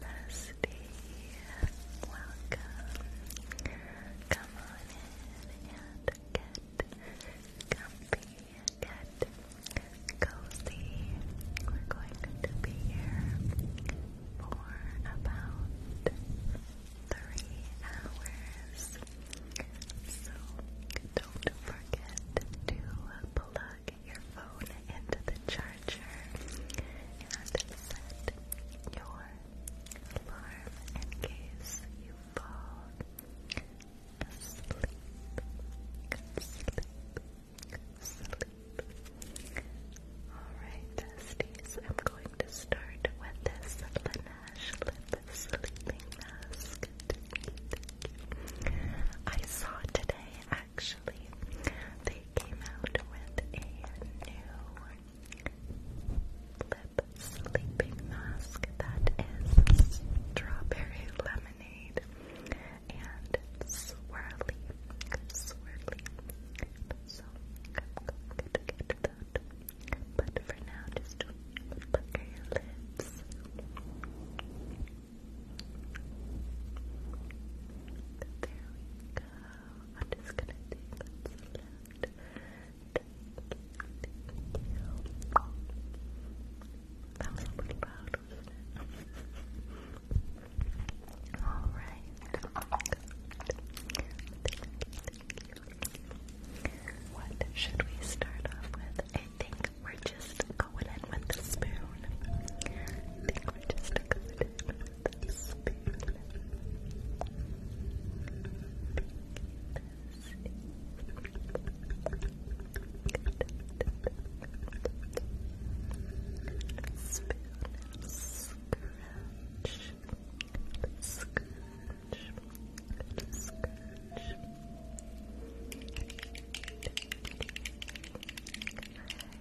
Dusty, welcome. Come on in and get comfy, get cozy. We're going to be here for about three hours. So don't forget to plug plug your phone into the charger and set your alarm in case you fall asleep. Sleep. Sleep. Alright, besties, I'm going to start with this Laneige Sleeping Mask. I saw today, actually, they came out with a new lip sleeping mask that is strawberry lemonade and swirly, swirly. So But for now, just pucker your lips we go. I'm just gonna take what's left. Thank you. That was a little loud, wasn't it? Alright. What should we start off with? I think we're just going in with the spoon. I think we're just going in with the Spoon scratch, scratch, scratch.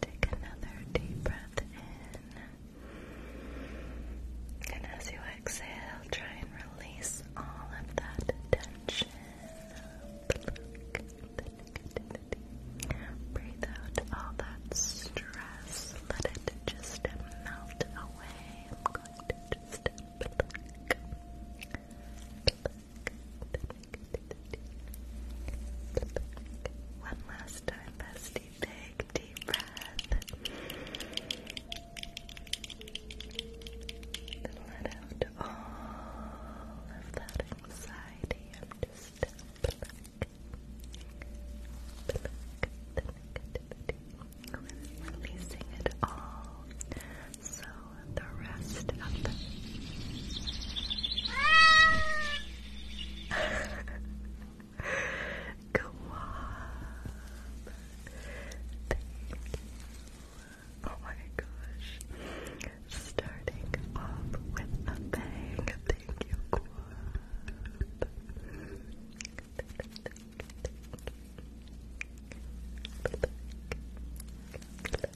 Take another deep breath in. And as you exhale, try and release all of that tension. Breathe out all that stress. Let it just melt away. One last time, bestie. Big deep breath. And let out all of that anxiety. i just Releasing it all. So the rest of the Go Thank you. Oh my gosh. Starting off with a bang. Thank you, Quab. Thank you.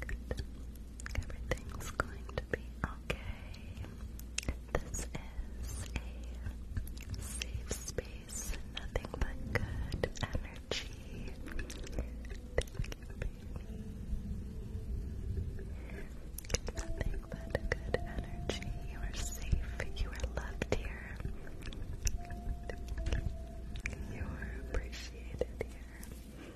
Good. Everything's going to be okay. This is a safe space, nothing but good energy. Nothing but good energy. You are safe. You are loved here. You are appreciated here.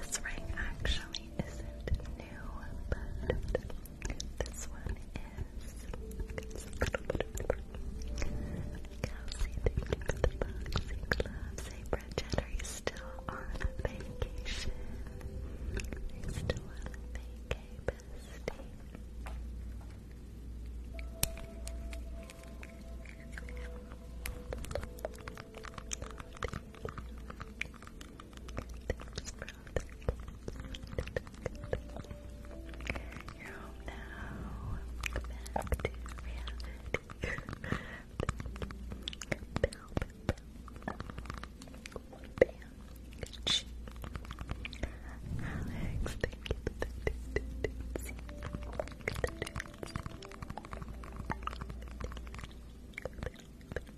This ring actually isn't new, but this one is Kelsey, thank you for the boxing gloves. Hey Bridget, are you still on vacation? Are you still on vacation, bestie? Thank you Thanks, bro. You're home now. Back to reality. Bam, bam, bam. Alex, thank you for the distance. Good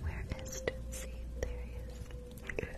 Where is Tootsie? There he is.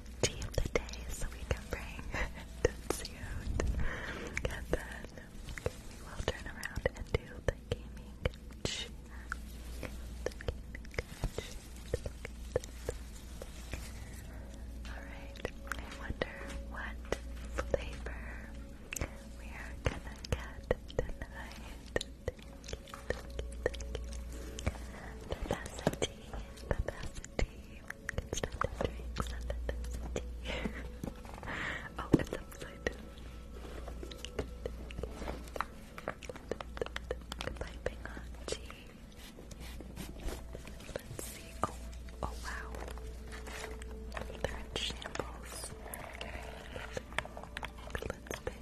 tea of the day so we can bring Tootsie And then we will turn around and do the gaming chat. Alright, I wonder what flavor we are gonna get tonight. Babacity, babacity. oh, it's upside down. Goodbye, Pingachi. Let's see. Oh, oh wow. They're in shambles. Okay. Let's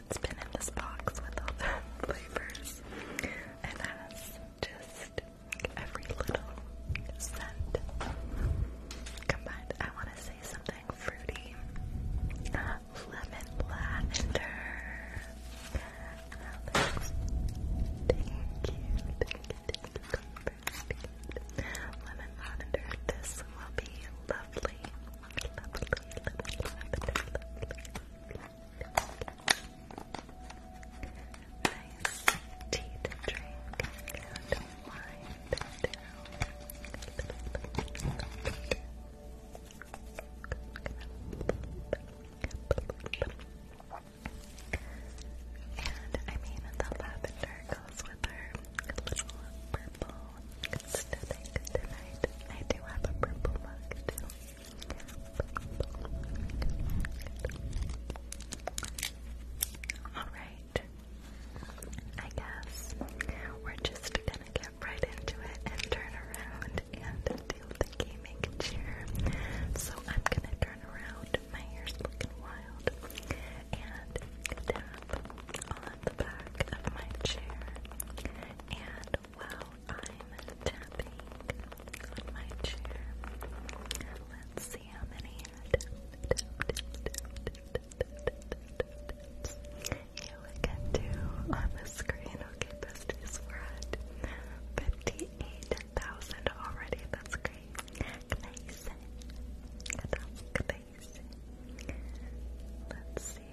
it's been in this box with all the flavors, and has just every little scent combined. I want to say something fruity, lemon lavender. Oh, that looks Thank you, thank you, Lemon lavender. This will be lovely. Nice tea to drink and wind down. And I mean, the lavender goes with her little purple it's tonight. I do have a purple mug Alright. I guess we're just gonna get right into it and turn around and do the gaming chair. So I'm gonna turn around, my hair's looking wild, and tap on the back of my chair. And while I'm tapping on my chair, let's see how many taps, taps, taps, taps, on the screen. Okay, besties, we're at 58,000 already. That's great. Amazing. That's amazing. Let's see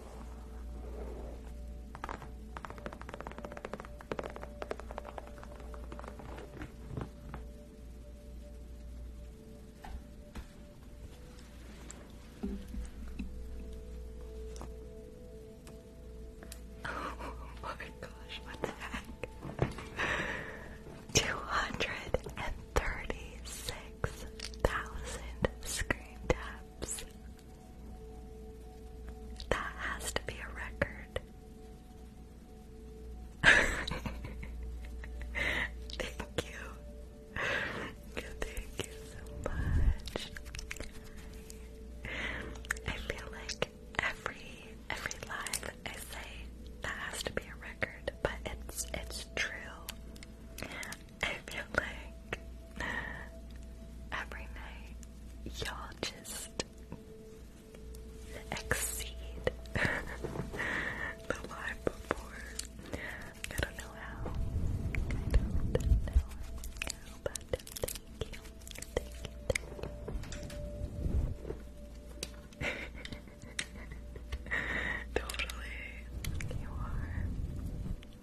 Oh my gosh, what the heck? Two hundred and thirty-six thousand screen taps. That has to be a record. Thank you. Thank you so much. I feel like every every live I say that has to be a record, but it's it's true. I feel like every night y'all just exceed the live before. I don't know how. I don't know how, but thank you. Thank you. Thank you. totally. You are.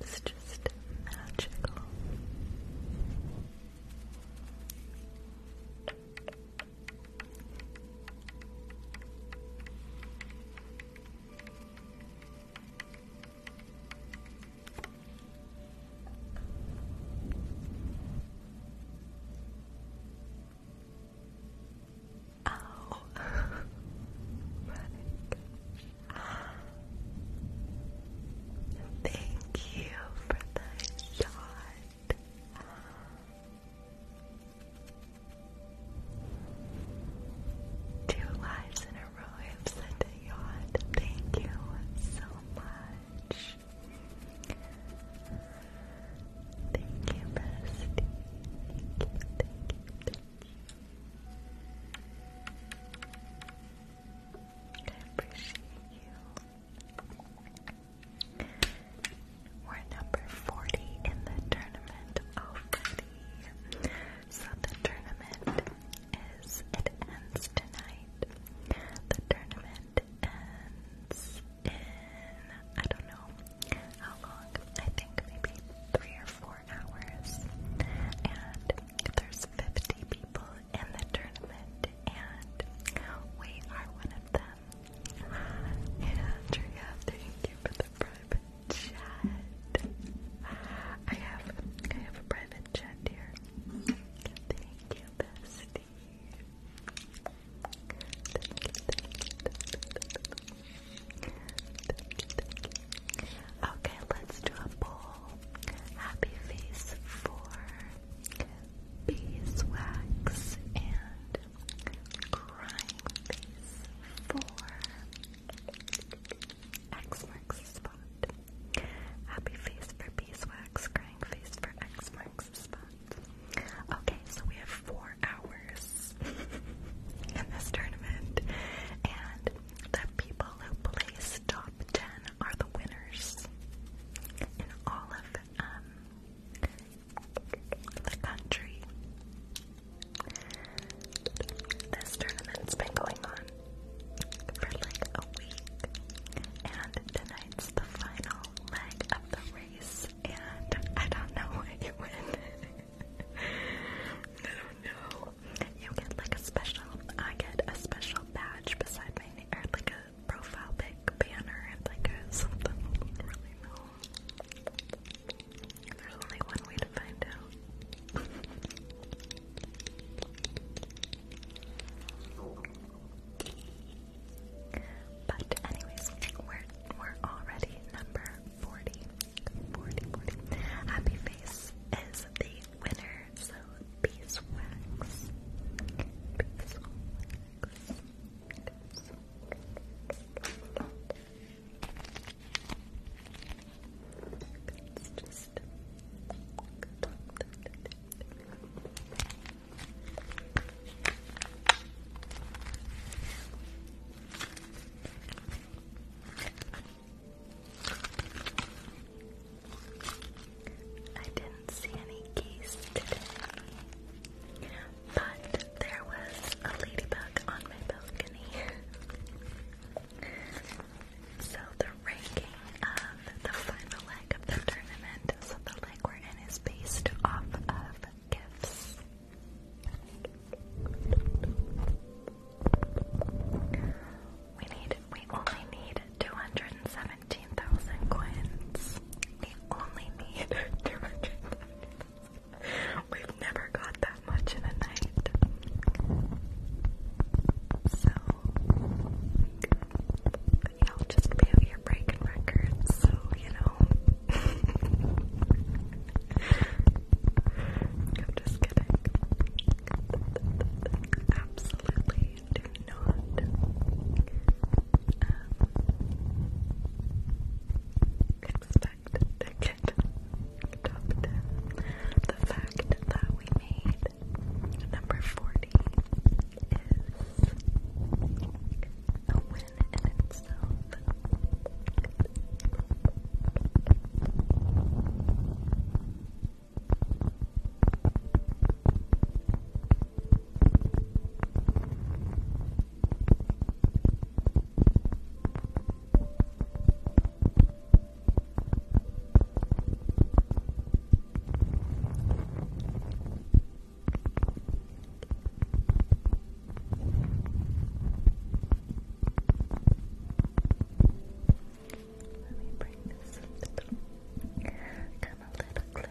It's just magical. Ow. Thank you for the shot. Two lives in a arrives at the yacht. Thank you so much. Thank you, Bestie. Thank you, thank you, thank you. I appreciate you. We're number 40 in the tournament already. So the tournament is it ends tonight. The tournament ends in I don't know how long. I think maybe three or four hours. And there's 50 people in the tournament, and we are one of them. Andrea, thank you for the private chat. I have I have a private chat here. Thank you, bestie. Okay, let's do a poll. Happy face for beeswax and crying face for X marks the spot. Happy face for beeswax, crying face for X marks the spot. Okay, so we have four hours in this tournament, and the people who place top 10 are the winners in all of um, the country. This tournament's been going on for like a week, and tonight's the final leg of the race, and I don't know what you win. I don't know. You get like a special, I get a special badge beside my name, or like a profile pic banner, and like something. I don't There's only one way to find out. But anyways, we're we're already number 40. Happy Face is the winner, so beeswax. Beeswax. beeswax. I didn't see any geese today, but there was a ladybug on my balcony. So the ranking of the final leg of the tournament, so the leg we're in is based off of gifts. We need we only need 217,000 coins. We only need 217,000. We've never got that much in a night. So, yeah, i just be here breaking records, so, you know. I'm just kidding. Absolutely do not. Um, expect to get top The fact that we made number 40 is a win in itself. Let me bring this up a little. Come a little closer. Good.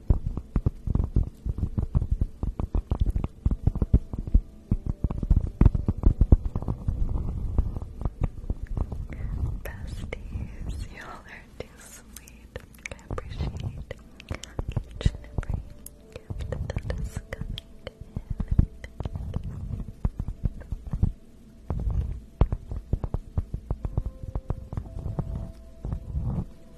Besties, y'all are too sweet. I appreciate each and every gift that is coming in. Thank you.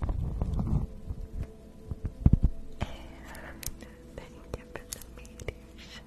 thank you for the mediation.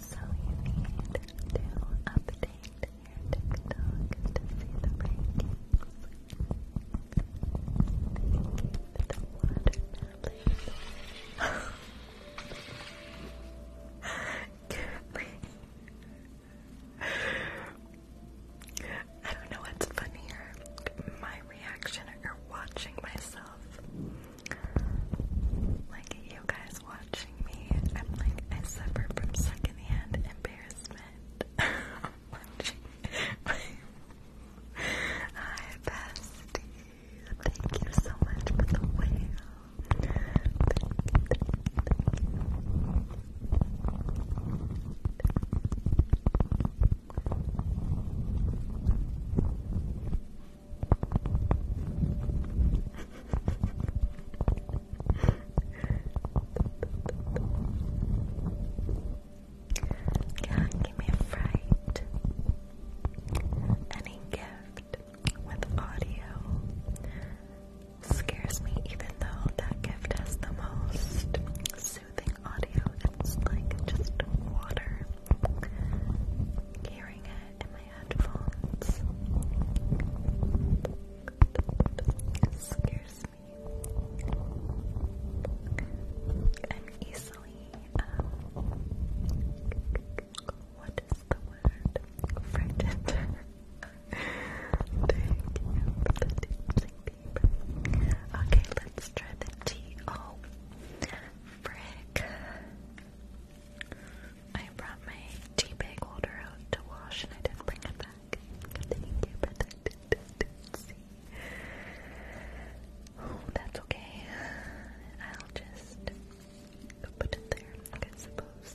So you need to update your TikTok to see the rankings. Thank you the watermelon. Currently, I don't know what's funnier, my reaction or watching myself like you guys watching me. I'm like I suffer from secondhand embarrassment. watching Hi Thank you so much for the way yeah, give me a fright. Any gift with audio scares me, even though that gift has the most soothing audio, it's like just water hearing it in my headphones scares me i easily um, what is the word? frightened thank you okay let's try the T-O frick. I brought my tea bag holder out to wash and I didn't bring it back. Thank you for that. See? Oh, that's okay. I'll just put it there, I suppose.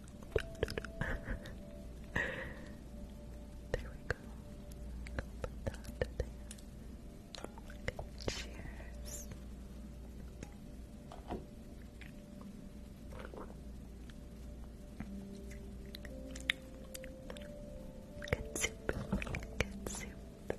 there we go. cheers. Good soup. Good soup.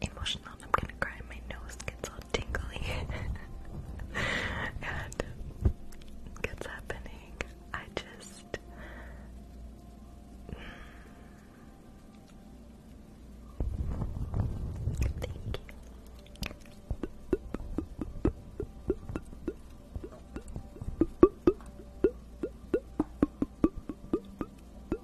emotional I'm gonna cry. My nose gets all tingly. and it's happening. I just. Thank you. Y'all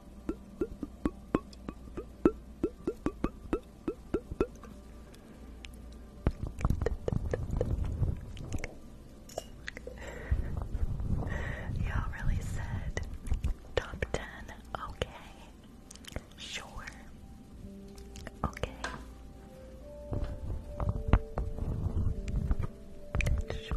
really said top ten. Okay. Sure. Okay. Sure.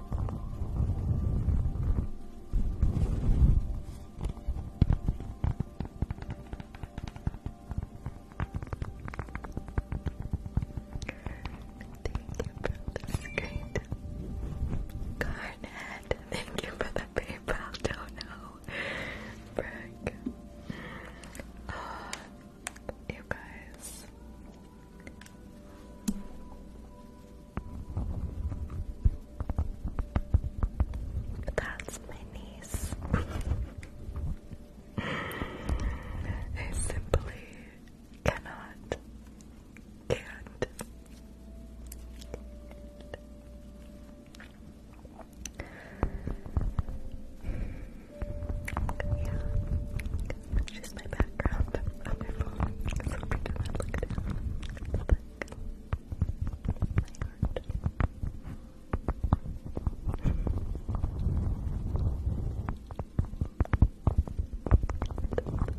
for the screen. Garnet, thank you for the PayPal dono. Brick. Oh, you guys. That's my niece. I simply cannot, can't. Yeah, it's my background on my phone. So freaking loud. Look down. Look. My heart. thank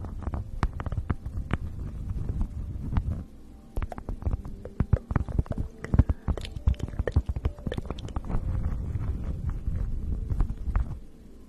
you.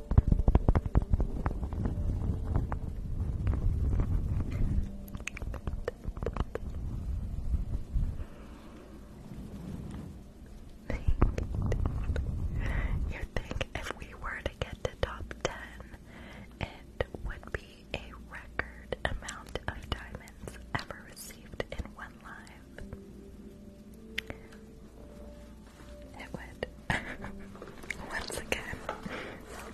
You think if we were to get to top 10, it would be a record amount of diamonds ever received in one life? It would. Once again,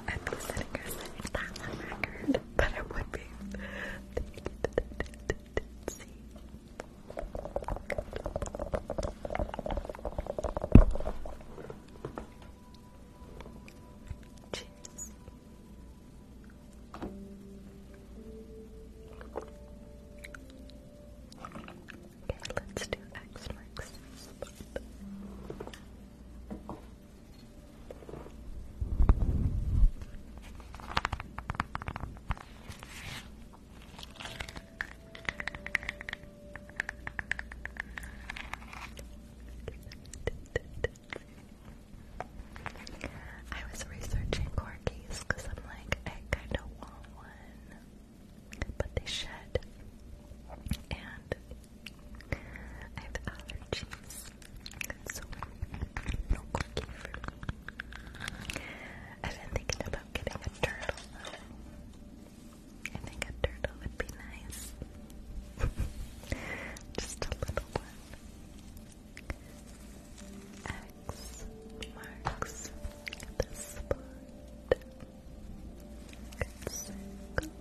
I'd be sitting here record, but it would be. See. Okay, let's do X marks I was researching corgis because I'm like, I kind of want one, but they shed, and I have allergies, so no cookie for me. I've been thinking about getting a turtle I think a turtle would be nice. Just a little one. X marks the spot. Good circle.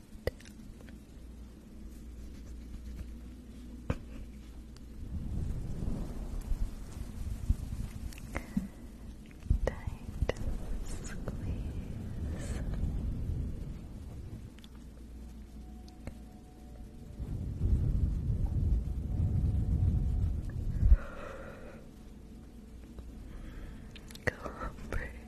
Tight squeeze. Go breathe.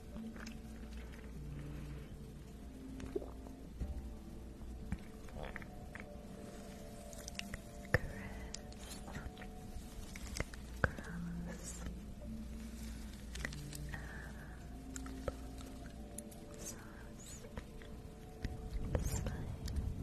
Gross. Sauce. Slide. Circle. Thick. Thick.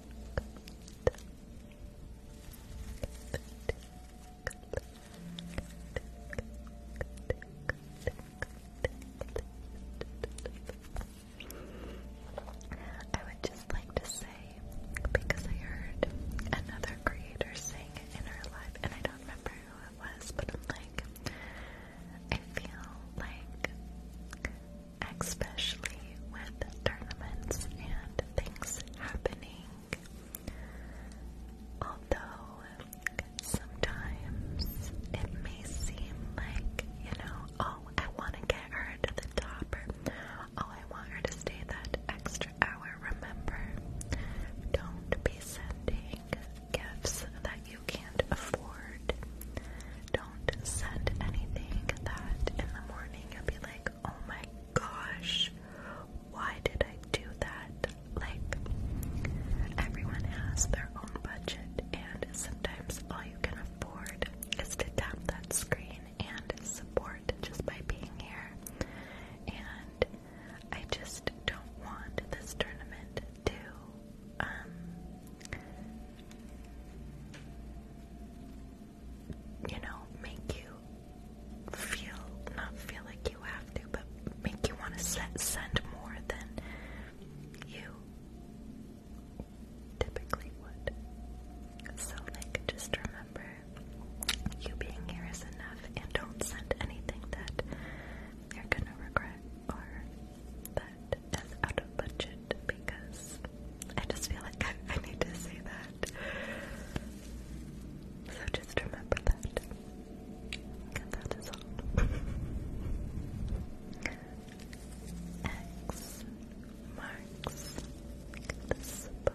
I would just like to say, because I heard another creator saying in her life, and I don't remember who it was, but I'm like, I feel like especially with tournaments and things happening. Although sometimes it may seem like, you know, oh, I want to get her to the top, or oh, I want her to stay that extra hour. Remember, don't be sending gifts that you can't afford. Don't don't send anything that in the morning i will be like, oh my gosh, why did I do that? Like, everyone has their own budget, and sometimes all you can afford is to tap that screen and support just by being here. And I just don't want this tournament to, um, you know, make you feel, not feel like you have to, but make you want to send more than you typically would. So, like, just remember you being here is enough and don't send anything that you're gonna regret or that is out budget because I just feel like I, need to say that. So just remember that. that is all. X marks the spot.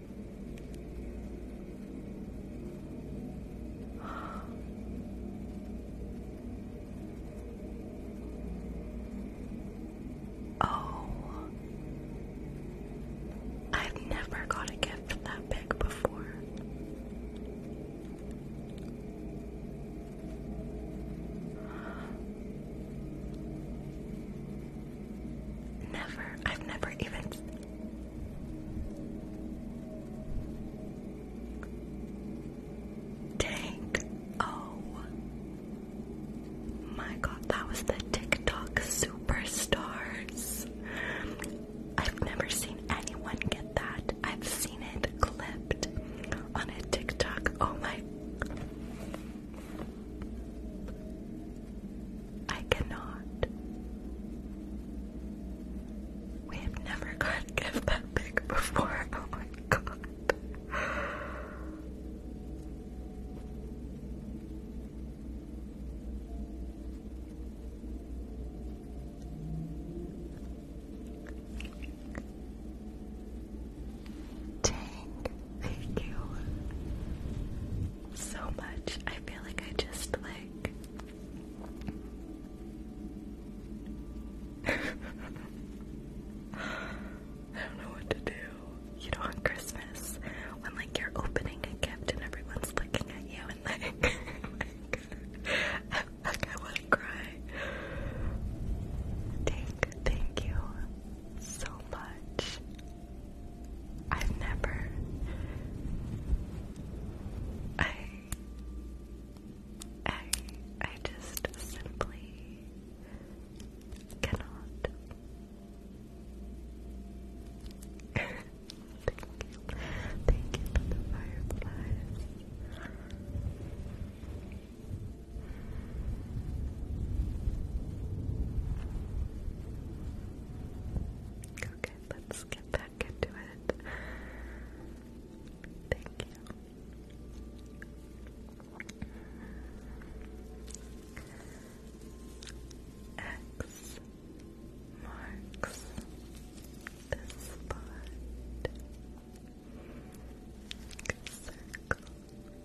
Oh, I've never got a gift that big before. Never. I've never even. Tank. Oh. My god, that was the TikTok superstars. I've never seen anyone get that. I've seen it clipped on a TikTok. Oh my. I cannot. We have never gotten gift that big before. Oh my god. thank you so much. I feel like I just like I don't know what to do. You know on Christmas when like you're opening a gift and everyone's looking at you and like I, wanna cry. Thank thank you so much. I've never. I. I. I just simply cannot. Thank you. Thank you for the fireflies. Okay, let's get back into it. Thank you. X marks the spot. Circle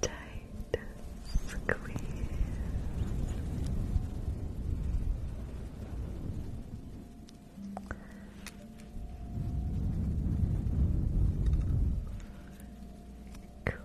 Tight squeeze. Cool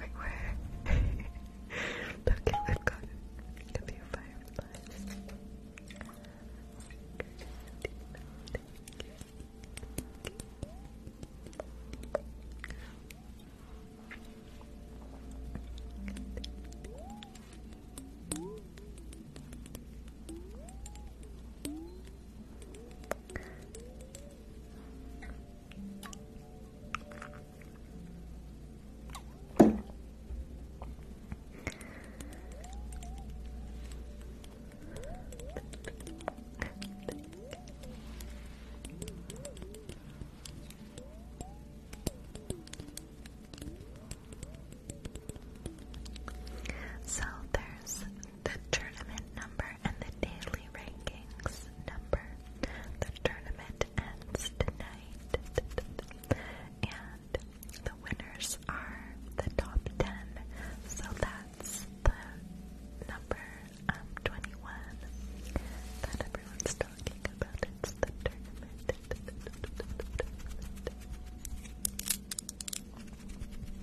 like where? okay, we've got a few fireflies. Okay, so there's the tournament number and the daily rankings number. The tournament ends tonight, and the winners are the top 10. So that's the number um, 21 that everyone's talking about. It's the tournament.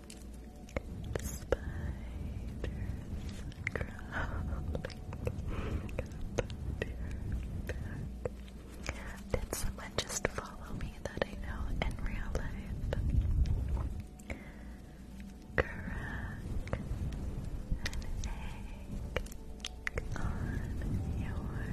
Spiders Did someone just follow me that I know in real life? Crack an egg on your head.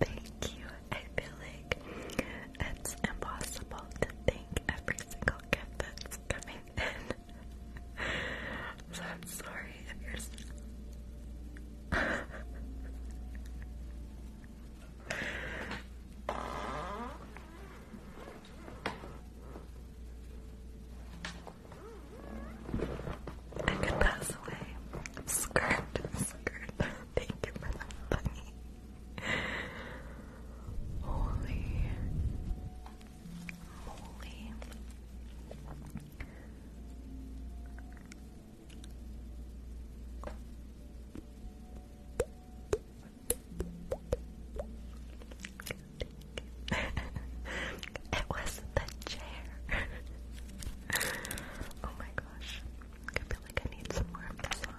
thank you. I feel like it's impossible to thank every single gift that's coming in. so I'm sorry if you're. I could pass away. Skirt, skirt. Thank you for the money. Holy moly. it was the chair. oh my gosh. I feel like I need some more of this one.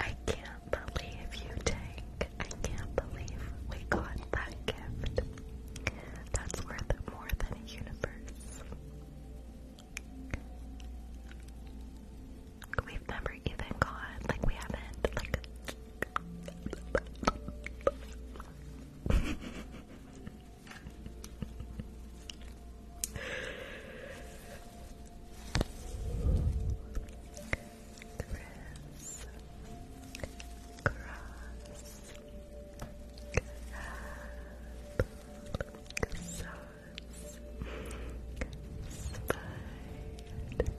I can't believe you, Tank. I can't believe we got that gift. That's worth more than a universe. We've never even got, like, we haven't, like, Chris Cross Crab Sauce Spied Spied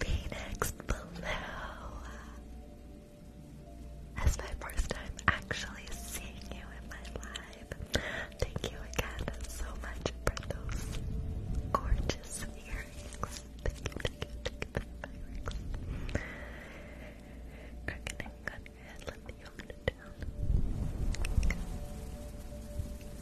Phoenix Blue. That's my first time actually seeing you in my live. Thank you again so much for those gorgeous earrings. the earrings. Cracking on head, let me hold down.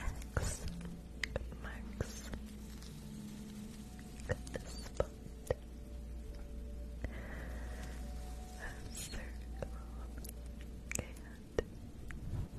X marks the spot. A and a dot. Four big balls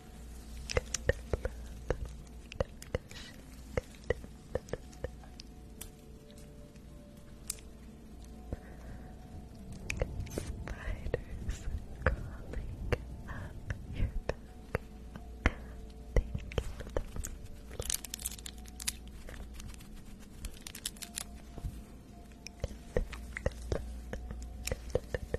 Spiders crawling up your back. Thank you for the Good luck. Good luck.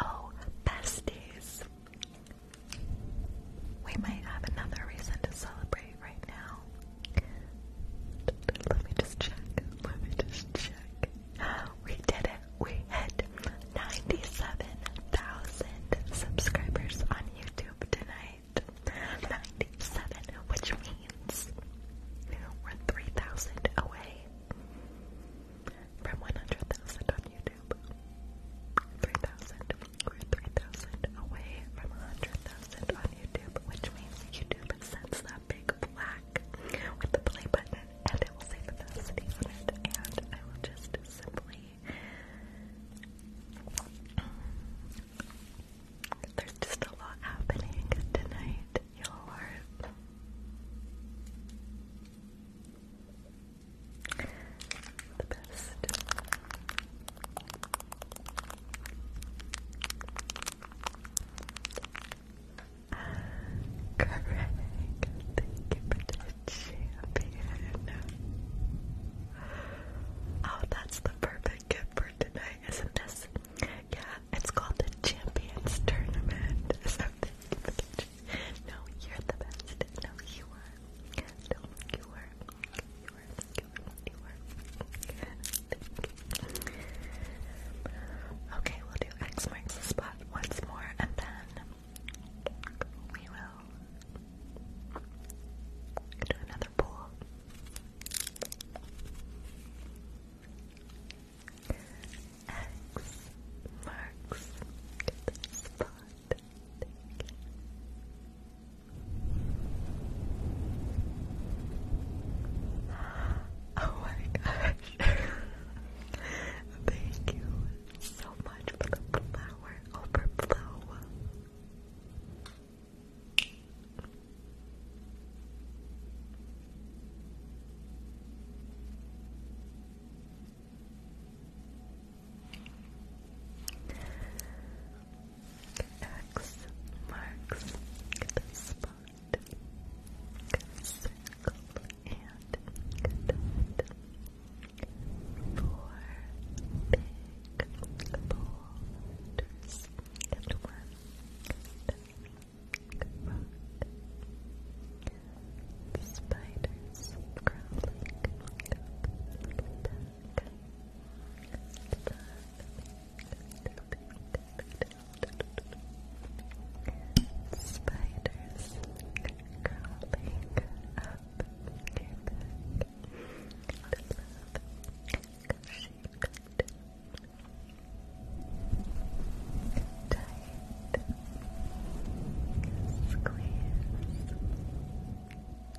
Oh, besties. We might have another reason to celebrate right now. Let me just check. Let me just check. We did it. We hit 97,000 subscribers on YouTube tonight. 97, which means we're 3,000 away from 100,000 on YouTube. 3,000. We're 3,000 away from 100,000 on YouTube, which means YouTube sends that big black with the play button and it will say Vivacity on it. And I will just simply. There's just a lot happening tonight, y'all the best. Correct. Thank you for the champion. Oh, that's the perfect gift for tonight, isn't this? Yeah, it's called the Champions Tournament. No, you're the best. No, you are. No, you are. Okay, we'll do X marks the spot once more, and then we will do another pool. X marks the spot. Oh my gosh. Thank you so much for the flower overflow. X marks the spot. Circle and dot. Four big boulders and Spiders crawling Spiders crawling up your back. Tight squeeze.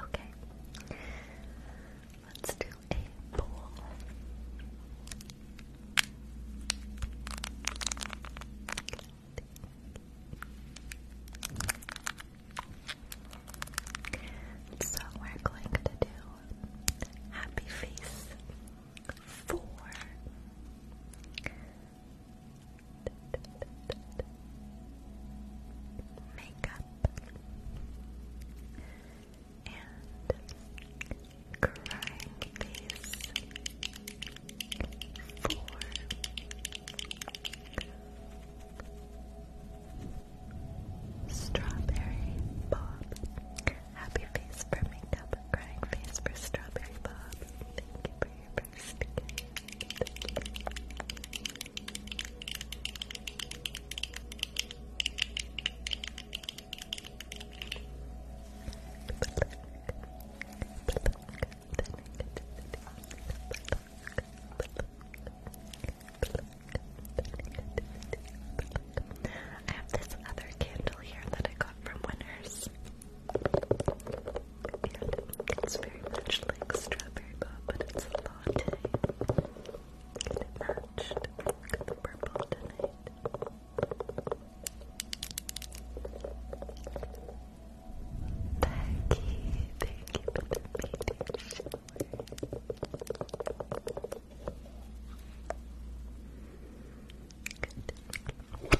Okay. Let's do a poll. So we're going to do happy face four makeup and crying face four. Strawberry Bob. Happy face for makeup, crying face for Strawberry Bob. Thank you for your first I have this other candle here that I got from Winners. It's very much like strawberry but it's a lot. And it matched. the purple tonight. Thank you, Good.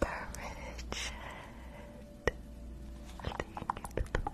Perfect. Thank you for the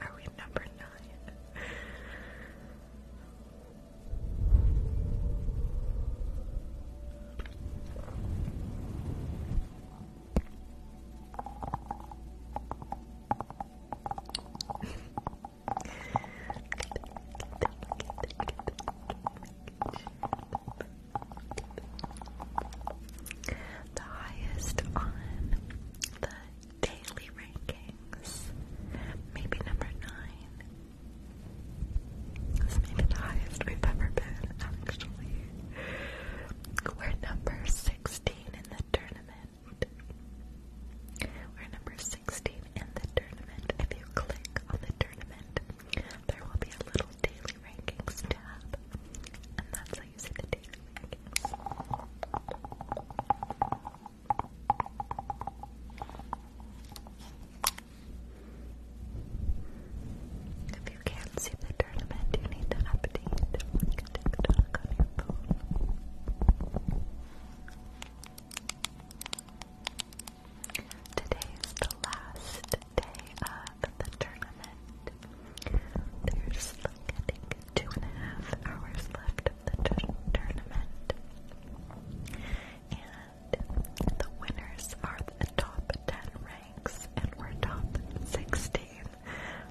Are we number nine? the highest on the daily rankings. Maybe number nine. This may the highest we've ever been, actually. We're number 16 in the tournament. We're number 16 in the tournament. If you click on the tournament, there will be a little daily rankings tab. And that's how using the taser If you can't see the tournament, you need to update like the last day of the tournament. There's like I two and a half hours left of the tournament. And the winners are the top 10 ranks, and we're top 16.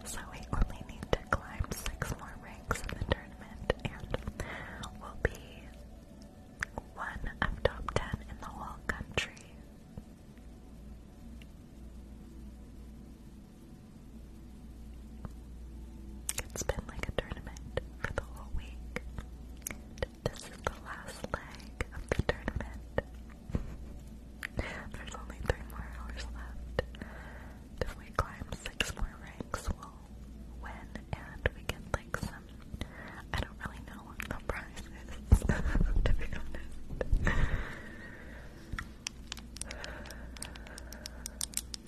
So we only need to climb 6 more ranks in the tournament, and we'll be one of top 10 in the whole country. It's been like a tournament for the whole week. This is the last leg of the tournament. There's only three more hours left. If we climb six more ranks, we'll win and we get like some. I don't really know what the to be honest.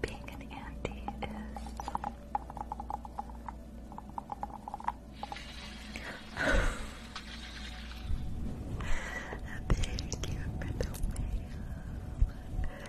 Being an auntie is thank you for the mail.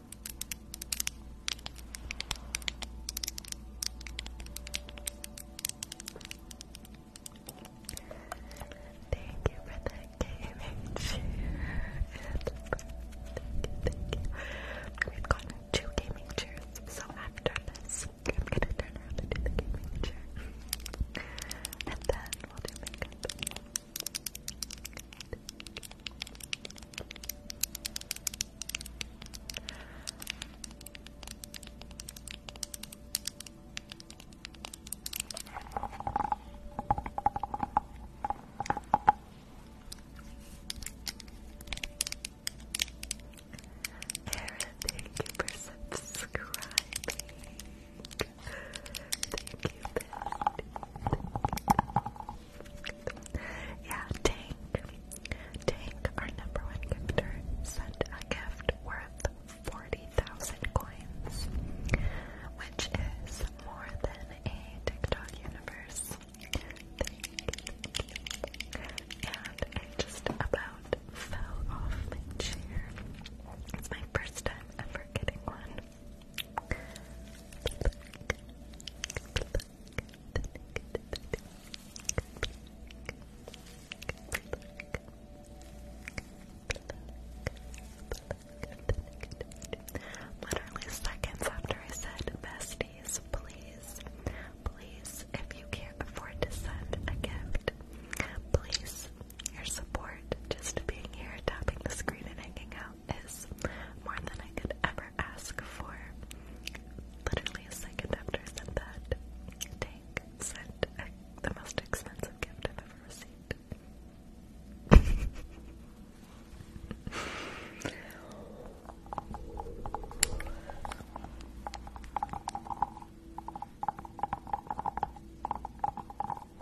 Thank you for the gaming chair. We've gotten two gaming chairs, so after this, I'm gonna turn around and the gaming chair. And then we'll do Aaron, thank you for subscribing. Thank you, Yeah, Tank. Tank, our number one gifter, sent a gift worth 40,000 coins, which is more than a TikTok universe. And I just about fell off my chair. It's my first time ever getting one. Literally seconds after I said, besties, please, please, if you can't afford to send a gift, please, your support, just being here, tapping the screen and hanging out is more than I could ever ask for. Literally a second after I said that, Tank sent the most expensive gift I've ever received. Okay,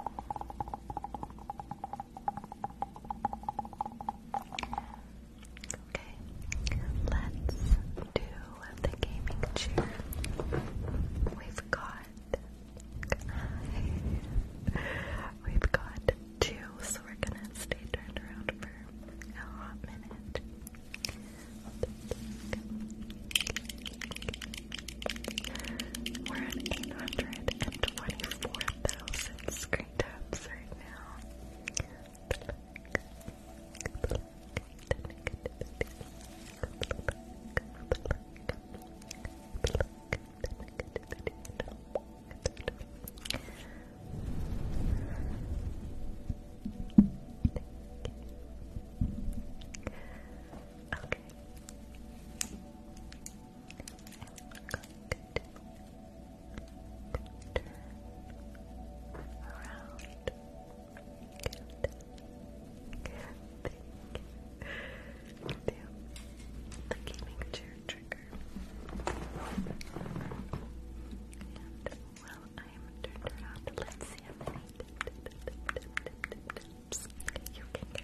let's do the gaming chair. We've got we've got two, so we're gonna stay turned around for a hot minute. We're at 824 thousand screen taps right now. Okay the gaming chair trigger. well, I am turned around. Let's see how many you can get.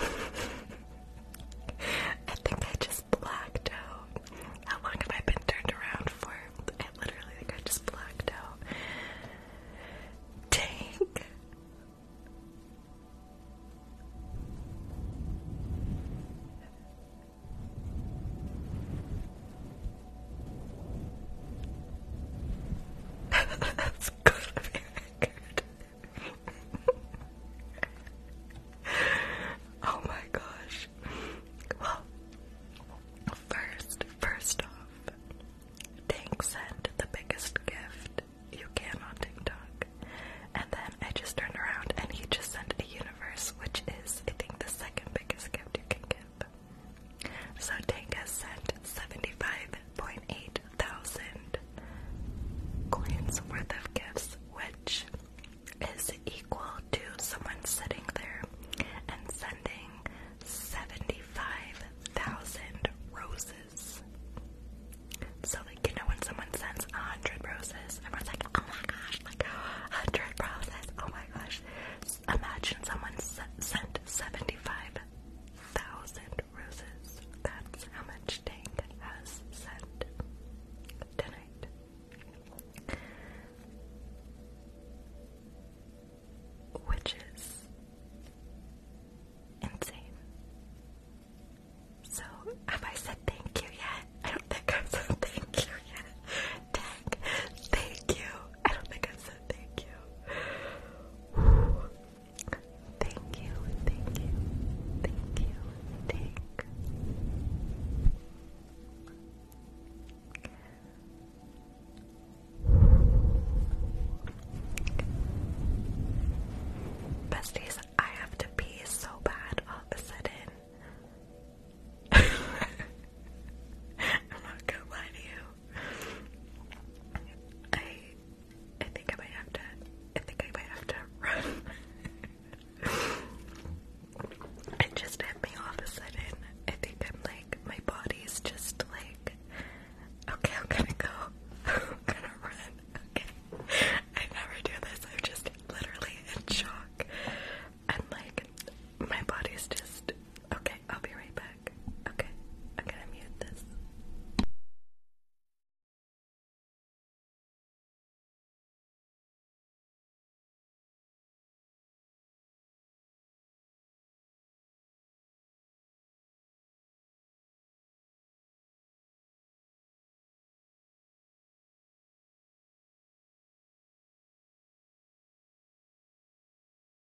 I think I just blacked out. How long have I been turned around for? I literally think I just blacked out. Dang. That's good of record. oh my gosh. Well, first, first off, Tank sent the biggest gift you can on TikTok. And then I just turned around and he just sent a universe, which is, I think, the second biggest gift you can give. So Tank has sent 75 1.8 thousand coins worth of gifts, which is equal to someone sitting there and sending 75,000 roses. So, like, you know, when someone sends 100 roses, everyone's like, oh my gosh, like 100 roses, oh my gosh. Imagine someone sent 75,000 roses. That's how much Tank has sent tonight. Which is insane. So, have I said thank you yet? I don't think i said thank you yet. Tank, thank you. I don't think i said thank you. Thank you, thank you, thank you, thank Besties, I have to pee so bad all of a sudden. I'm not gonna lie to you. I think I might have to. I think I might have to run. it just hit me all of a sudden. I think I'm like my body's just like, okay, I'm gonna go. I'm gonna run. Okay, I never do this. I'm just literally in shock. i like, my body's just okay. I'll be right back. Okay, I'm gonna mute this.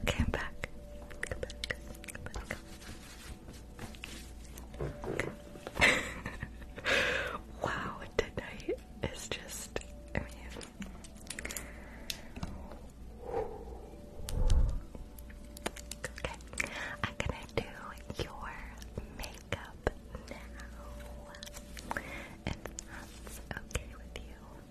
Okay, I'm back. wow, tonight is just. I mean. Okay, I'm gonna do your makeup now. If that's okay with you.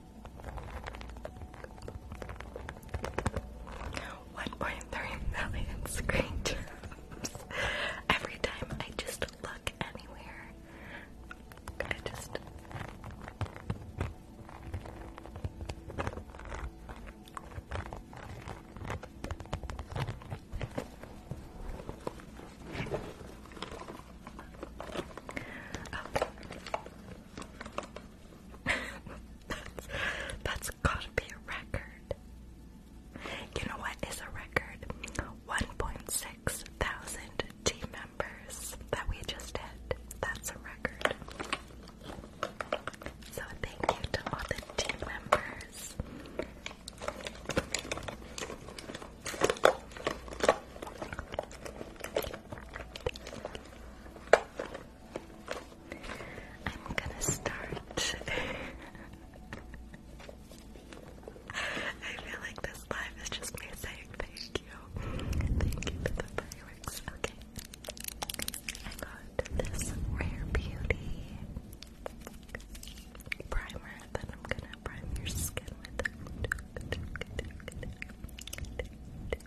1.3 million screen Every time I just look anywhere, I just that's, that's gotta be a record. You know what is a record? 1.6 thousand team members that we just hit. That's a record. So thank you to all the team members. I'm gonna start. I feel like this live is just me saying thank you. Thank you for the fireworks. Okay. I got this Rare Beauty primer that I'm gonna prime your skin with.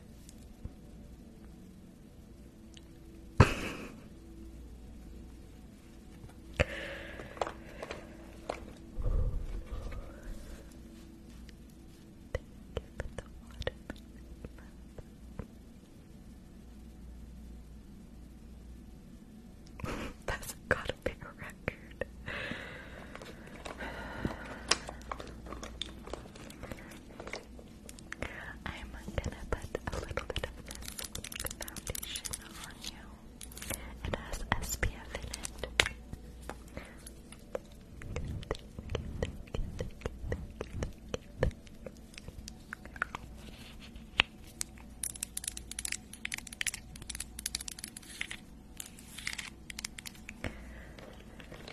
That's gotta be a record. I'm gonna put a little bit of this foundation on you. It has SPF in it.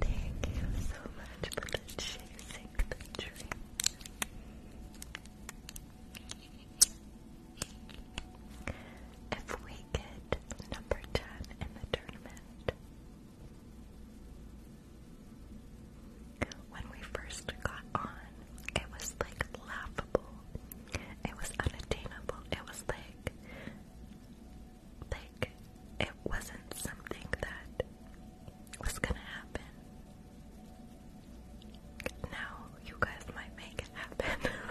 Thank you so much for the the dream. If we get number 10 in the tournament, when we first got on, it was like laughable. It was unattainable. It was like like it wasn't something that was gonna happen. Now you guys might make it happen.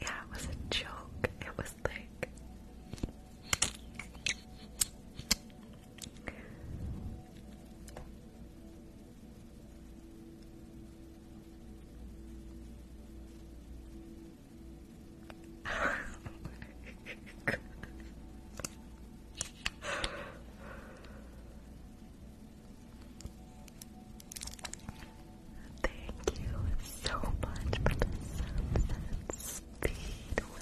Yeah, it was a joke. It was like Thank you so much for the sunset speedway. Oh my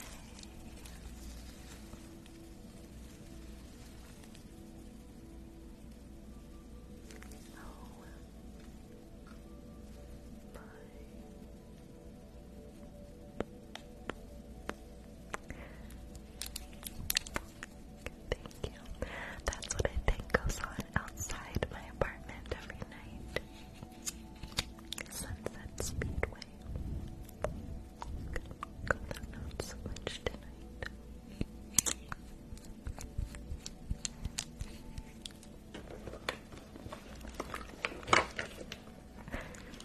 Thank you. That's what I think goes on outside my apartment every night. Sunset Speedway. Go out much tonight.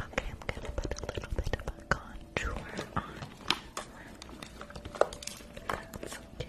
okay, I'm gonna put a little bit of a contour on. That's okay.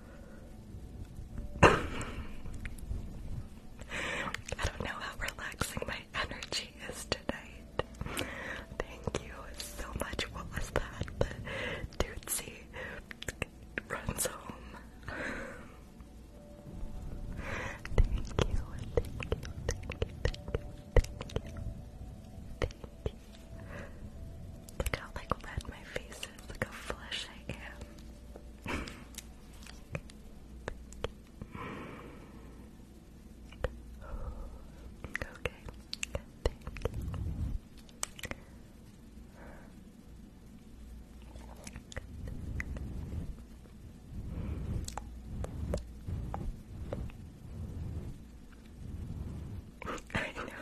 I don't know how relaxing my energy is tonight. Thank you so much. What that? The runs home. thank you, thank you, thank you, thank you, thank you. Thank you. Look how like red my face Look how flush I am. okay. I know.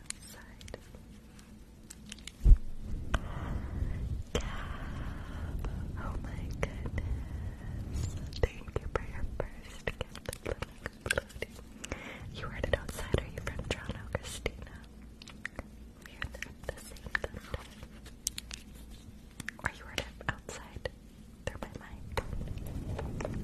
oh my goodness. Thank you for your first gift. You heard it outside. Are you from Toronto, Christina? We heard the, same thunder. you heard it outside through my mic.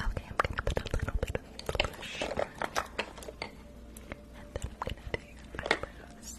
Okay, I'm gonna put a little bit of blush and then I'm gonna do your eyebrows.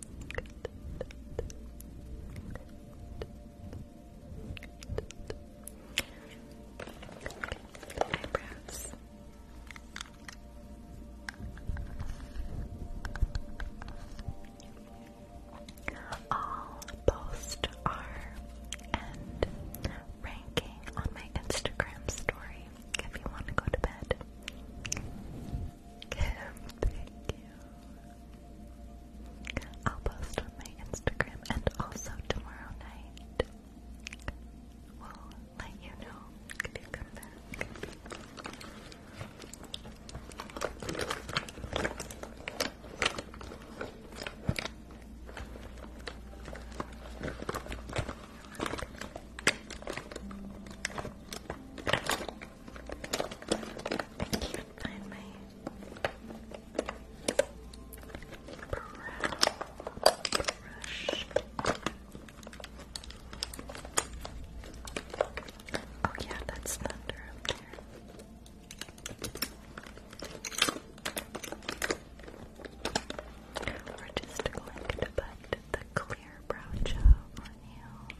Eyebrows. All posts are and ranking on my Instagram story if you want to go to bed. Thank you. I'll post on my Instagram and also tomorrow night. We'll let you know if you come back. I can't find my brush. Oh yeah, that's thunder up there. We're just going to the clear brow gel on you.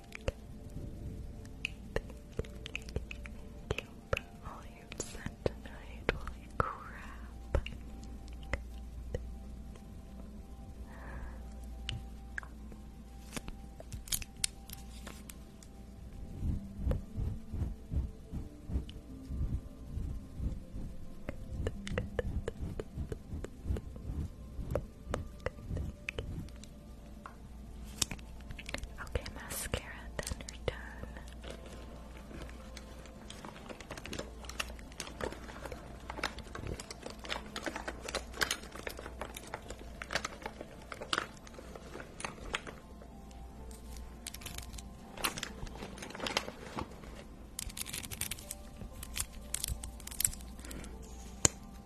Thank you for all you've said tonight. Holy crap. Okay, mascara, then we're done.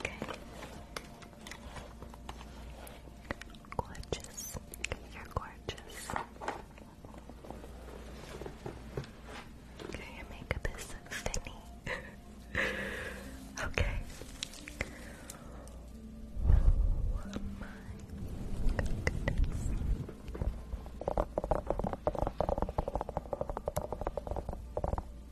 Okay. Gorgeous. You're gorgeous. Okay, your makeup is so Okay. Oh Cheers.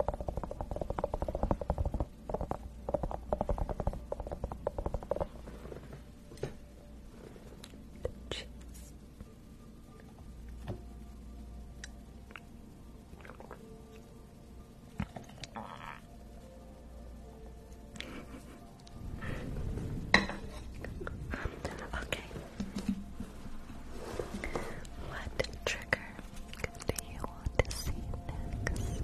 okay. What trigger do you want to see next?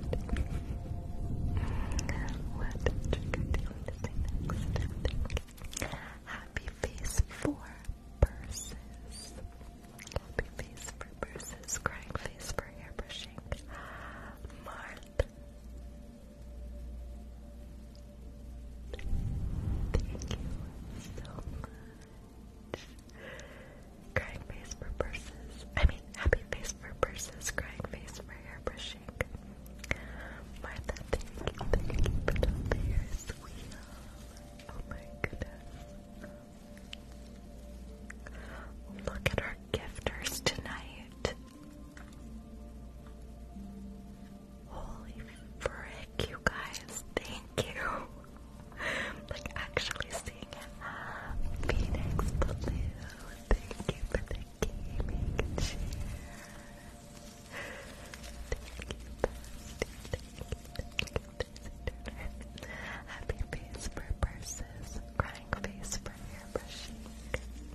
What do you want to see next? Happy face for purses. Happy face for purses. Crying face for airbrushing. Marth. Thank you so much. Crying face for purses. I mean, happy face for purses. Crying face for airbrushing. Martha, thank you, thank wheel. Oh my goodness. Look at our gifters tonight. Holy frick, you guys. Thank you like actually seeing it. Phoenix Blue, thank you for the gaming chair. Thank you, bestie. Thank Happy face for purses, crying face for airbrushing. Thank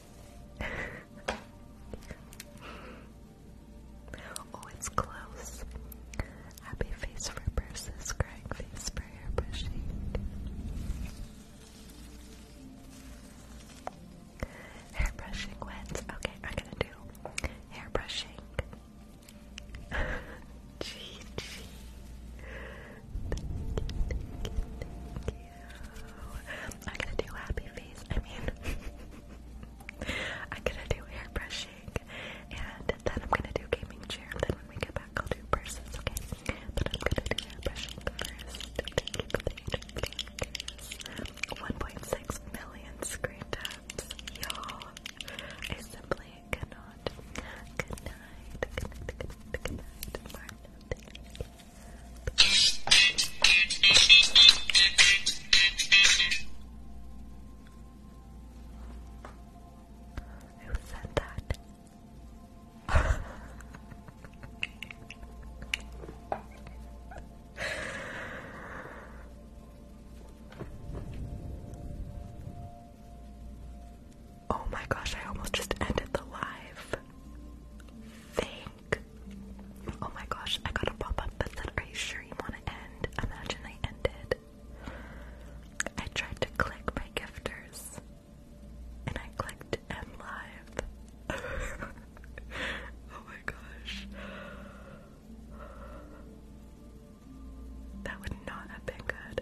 oh, it's close. Happy face for purses, crying face for hair brushing. Hair brushing wins. Okay, I'm gonna do hair brushing. Gee, I'm gonna do happy face. I mean, I'm gonna do hair brushing, and then I'm gonna do gaming chair. And then when we get back, I'll do purses. Okay, but I'm gonna do hair brushing first. 1.6 million screen taps, you I simply cannot. Good night. Good night. Martin, who said that? Oh my gosh, I almost just ended the live. Thank. Oh my gosh, I got a pop up that said, Are you sure you want to end? Imagine I ended. I tried to click my gifters and I clicked end live. oh my gosh. That would not have been good.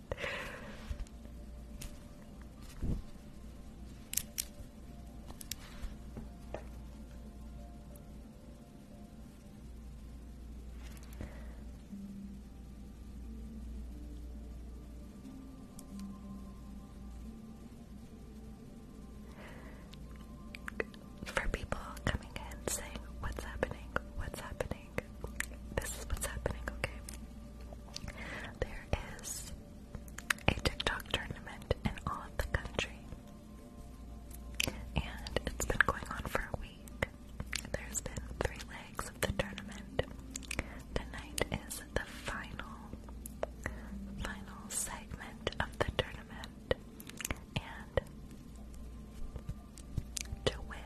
For people coming in saying, What's happening? What's happening? This is what's happening, okay? There is a TikTok tournament in all of the country. And it's been going on for a week. There's been three legs of the tournament. Tonight is the final, final segment of the tournament. And to win,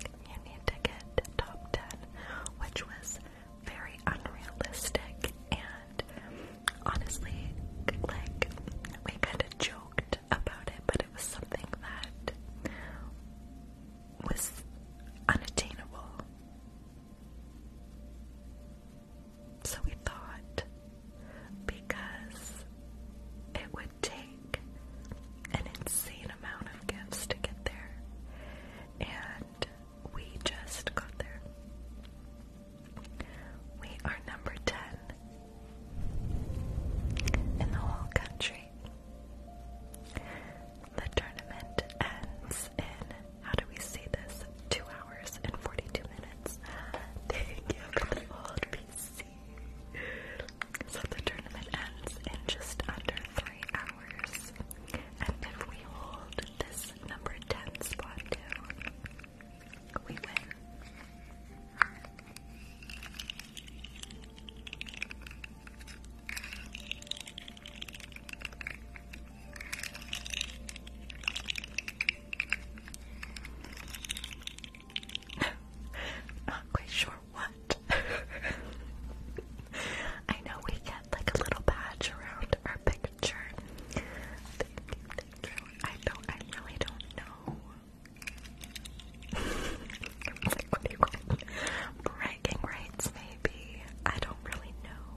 you need to get top 10, which was very unrealistic and honestly, like, we kind of joked about it, but it was something that was unattainable. So we thought because it would take an insane amount of gifts to get there. And we just got there. We are number 10 in the whole country. The tournament ends in, how do we say this? 2 hours and 42 minutes. Thank you for the old PC. So the tournament ends in just under three hours. And if we hold this number 10 spot too, we win. Not quite sure what? I know we get like a little badge around our picture. I don't, I really don't know. like, what do maybe. I don't really know.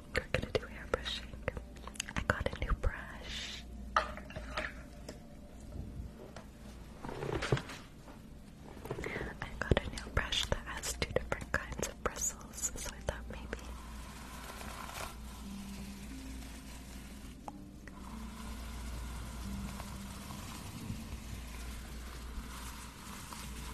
longer gonna do airbrushing. I got a new brush. I got a new brush that has two different kinds of bristles, so I thought maybe.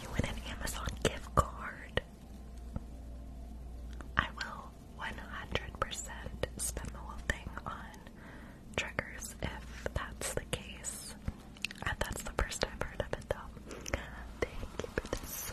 You win an Amazon gift card. I will 100% spend the whole thing on triggers if that's the case. And that's the first I've heard of it though. Thank you for this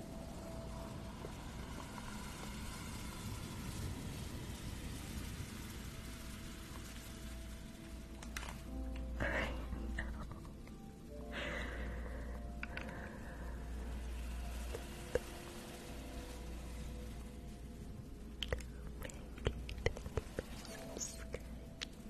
I know. Make it subscribe.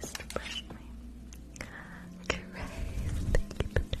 Just brush my caress. Thank you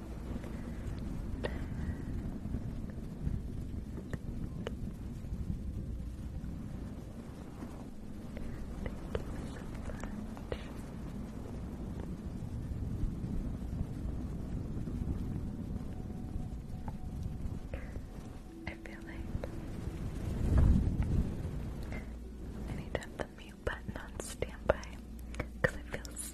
I feel like I need to have the mute button on standby because it feels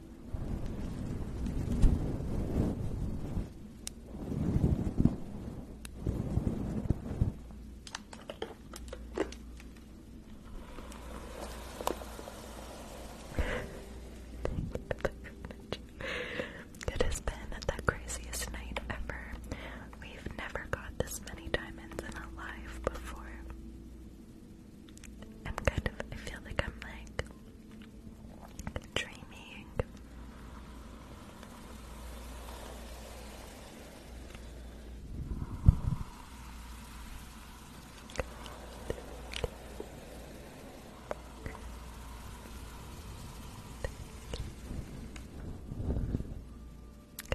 It has been the craziest night ever. We've never got this many diamonds in a life before. I'm kind of, I feel like I'm like dreaming.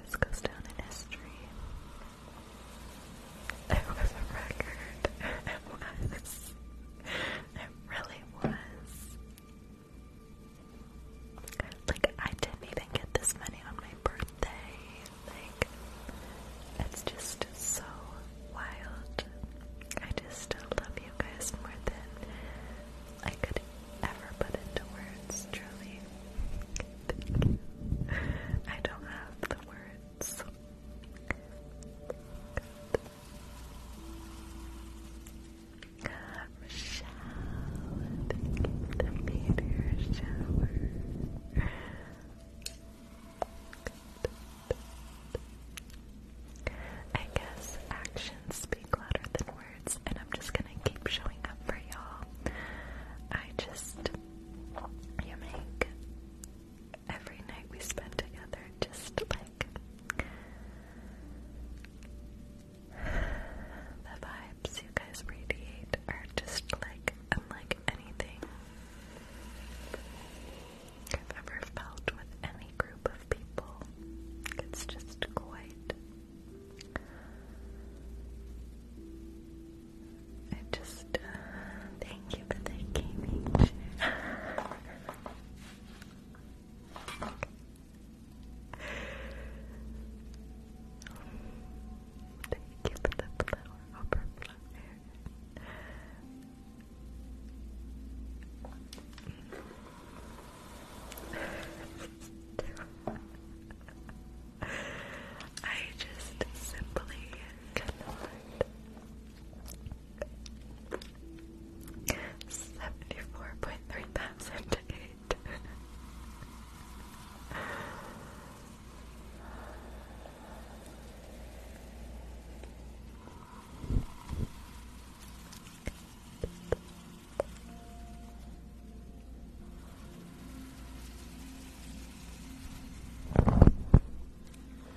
This goes down in history. It was a record. It was it really was. Like, I didn't even get this money on my birthday. Like, it's just so wild. I just love you guys more than I could ever put into words, truly. I don't have the words. Michelle, the meteor shower. I guess actions speak louder than words, and I'm just gonna keep showing up for y'all. I just, you make every night we spend together, just like the vibes you guys radiate are just like unlike anything I've ever felt with any group of people. It's just quite. I just thank you for the gaming Thank you for the flower overflow there. I just simply cannot Seventy-four point three thousand eight.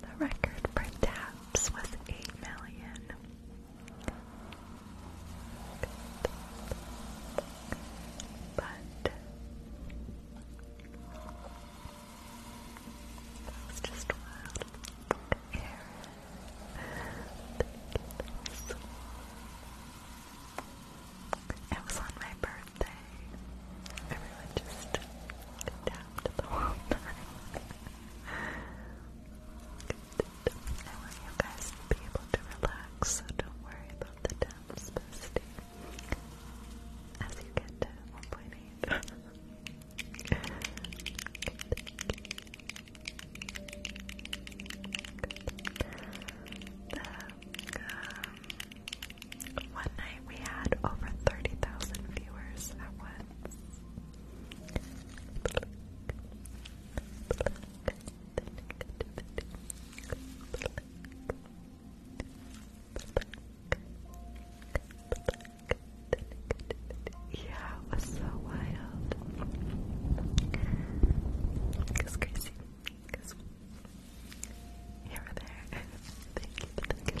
The record for taps was eight million. But that was just wild. Aaron, thank It was on my birthday. Everyone just tapped the whole I want you guys to be able to relax, so don't worry about the maps, bestie. As you get to 1.8. Um, night we had over 30,000 viewers at once. Yeah, was so wild. It's crazy. Cause here or there. Thank you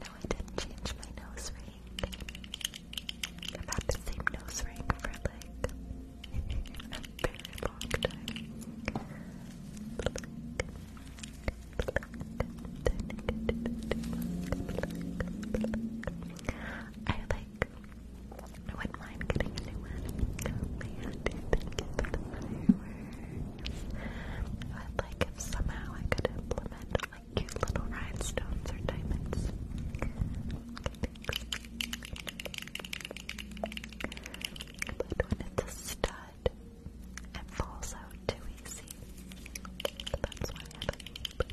No, I didn't change my nose ring. I've had the same nose ring for like a very long I like I wouldn't mind getting a new I would like if somehow I could implement cute little rhinestones or diamonds. But when it's a stud, it falls out too easy. That's why I like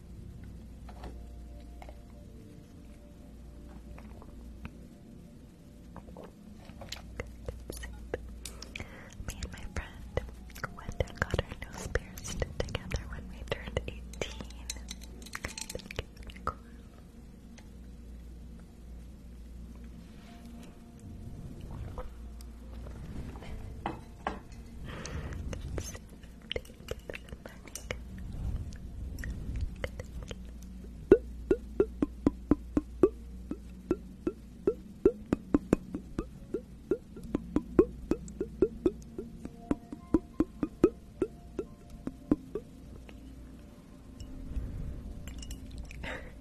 Me and my friend went and got our nose pierced together when we turned 18. Thank you,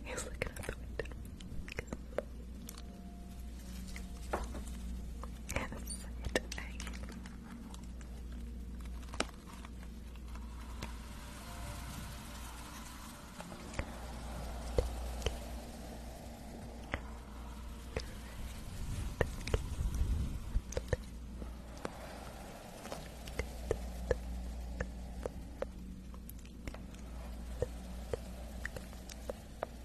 He's looking out the window. Yes, it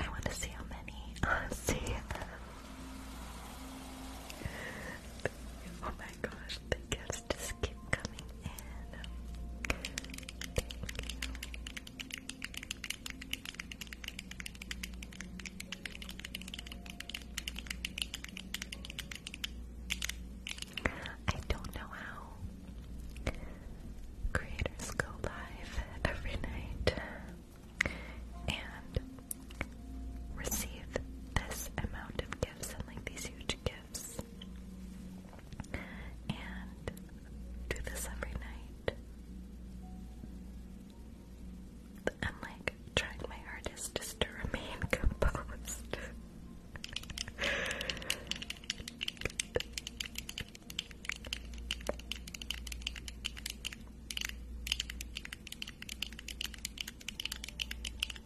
I want to see how many uh, see. Oh my gosh, thank you I don't know how creators go live every night and receive this amount of gifts and like these huge gifts and do this every night. I'm like trying my hardest just to remain composed.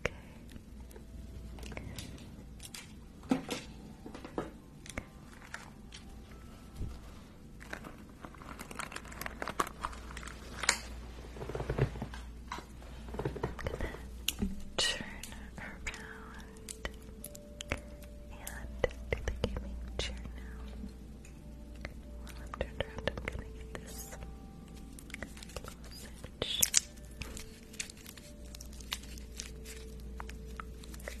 Okay. I'm gonna turn around and do the gaming chair now. While I'm turned around, I'm gonna get this lozenge. Okay, I'm gonna back it up. Okay,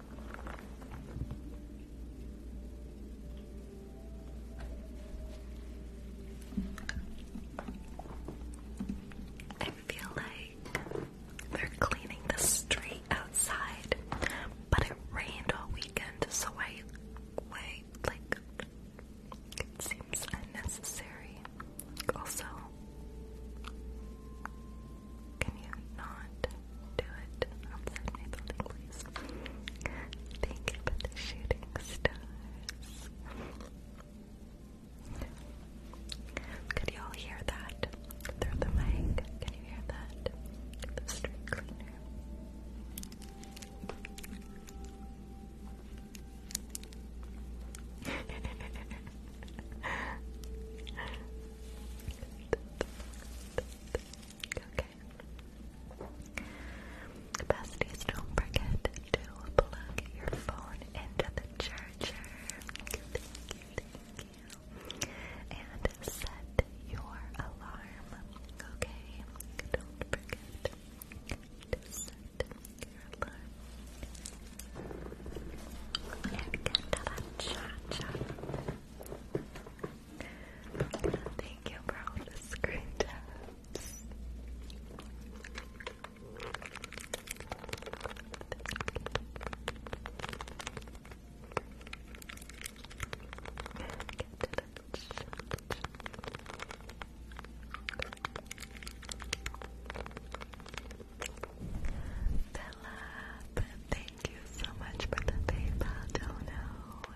I feel like they're cleaning the street outside, but it rained all weekend, so I, I like it seems unnecessary. Also, can you not? do it outside my building, please. Thank you the shooting stars. Could you all hear that through the mic? Can you hear that? The street cleaner. okay, Besties, don't forget to plug your phone into the charger. Thank you, thank you. And set your alarm, okay? Don't forget to set your alarm. And get to that cha-cha. Thank you for all the screen taps. thank you so much for the PayPal dono.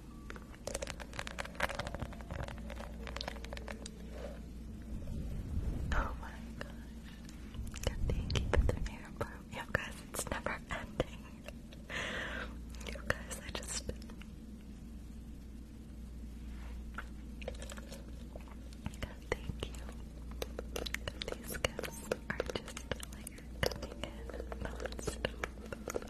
Oh my gosh. Good you put their hair above. You guys, it's never ending. You guys, I just. thank you. These gifts are just like coming in. Oh,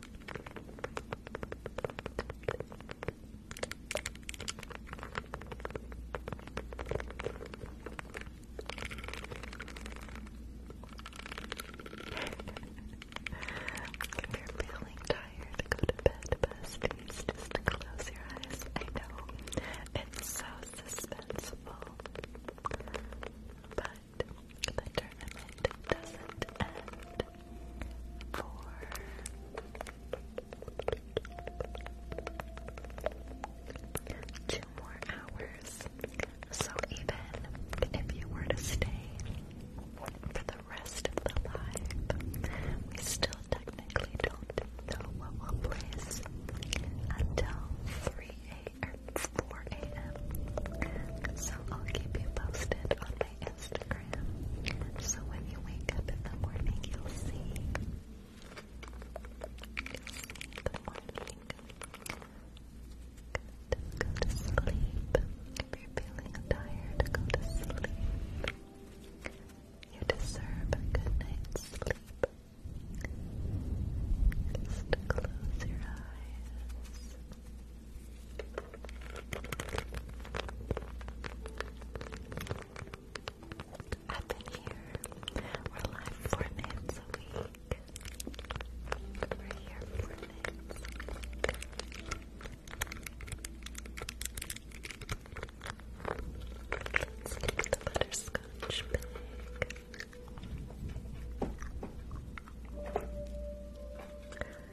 if you're feeling tired, go to bed, besties. Just close your eyes. I know it's so suspenseful, but the tournament doesn't end for two more hours. So even if you were to stay for the rest of the live, we still technically don't know what will place until 3 a.m. or 4 a.m. So I'll keep you posted on Instagram. So when you wake up in the morning, you'll see. in the morning. Go to sleep. If you're feeling tired, go to sleep. You deserve a good night's sleep. Just close your eyes. I've here. We're live four nights a week. We're here four nights Let's get the butterscotch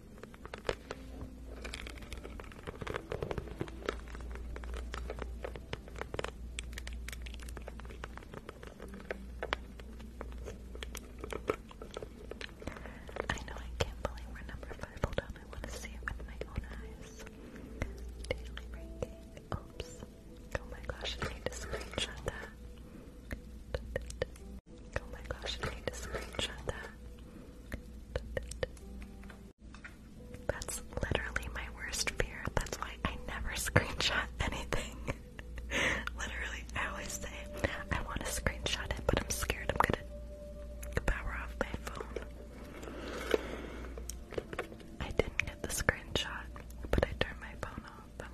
I know I can't believe we're number five. Hold on, I want to see it with my own eyes. Oops. Oh my gosh, I need to screenshot that. Oh my gosh, I need screenshot that. That's literally my worst fear. That's why I never screenshot anything. literally, I always say, I want to screenshot it, but I'm scared I'm gonna power off my phone. I didn't get the screenshot, but I turned my phone off.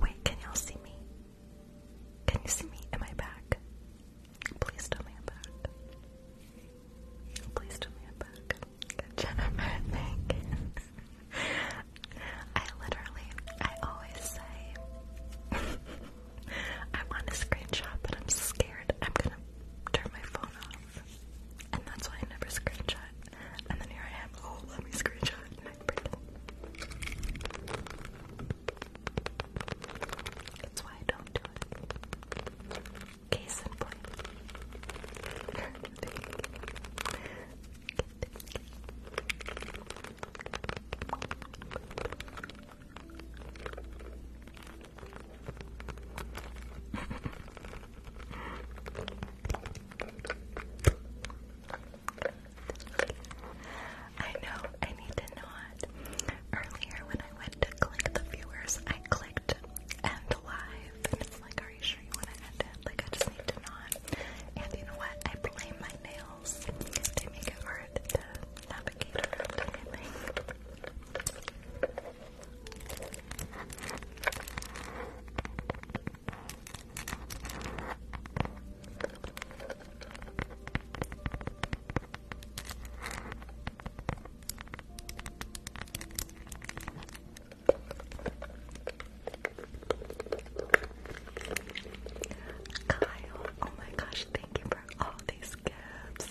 Wait, can y'all see me? Can you see me? Am I back? Please tell me I'm back. Please tell me I'm back. Good, Jennifer, thank I literally, I always say, I want a screenshot, but I'm scared I'm gonna turn my phone off. And that's why I never screenshot. And then here I am, oh, let me screenshot. That's why I don't do it. Case in I know, I need to know Earlier when I went to click the viewers, I clicked end live, and it's like, are you sure you want to end it? Like, I just need to know And you know what? I blame my nails. They make it hard to navigate around anything. Kyle, oh my gosh, thank you for all these gifts.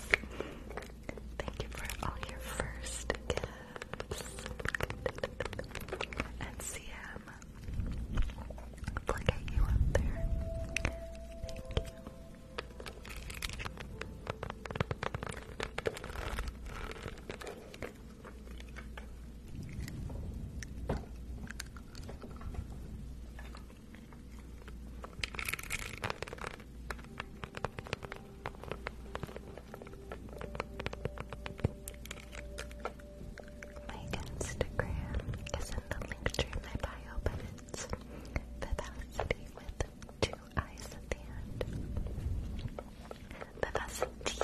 Thank you for all your first gifts. And CM, Look at you up there. Thank you. My Instagram is in the link tree in my bio, but it's Vivacity with two eyes at the end. Vivacity.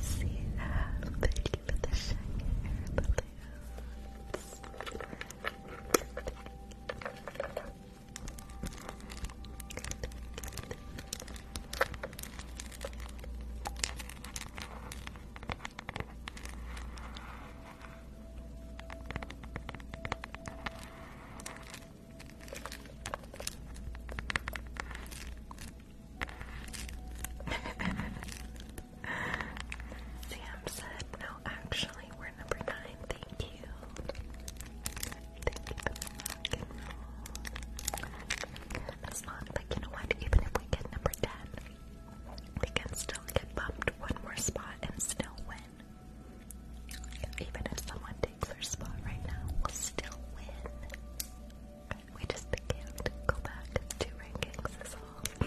see that. Thank you for the shiny air balloons. Sam said, no, actually, we're number nine, thank you. Thank you for you know what? Even if we get number 10, we can still get bumped one more spot and still win. Even if someone takes our spot right now, we'll still win. We just can't go back to rankings, is all.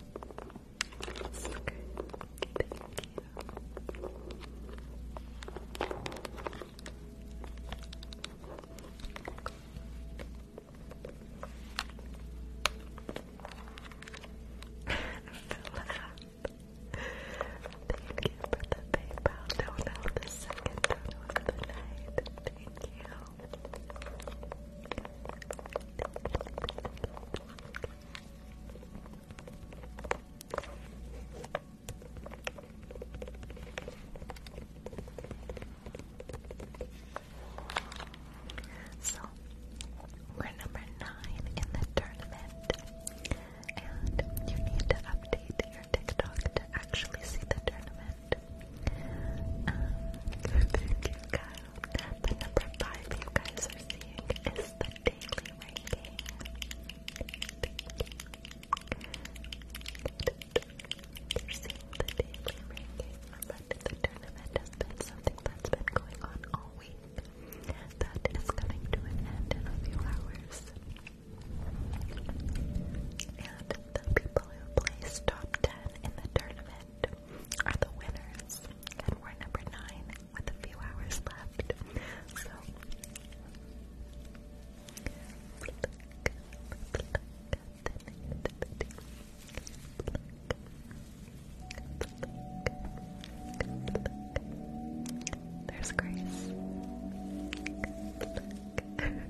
So Thank you. Thank you for the PayPal donut, the second donut of the night. Thank you. So we're number nine in the tournament, and you need to update your TikTok to actually see the tournament. Um, thank you guys the number five you guys are seeing is the daily ranking. You're seeing the daily ranking, but the tournament has been something that's been going on all week. That is coming to an end in a few hours. And the people who placed top 10 in the tournament are the winners. And we're number nine with a few hours left. So There's Grace.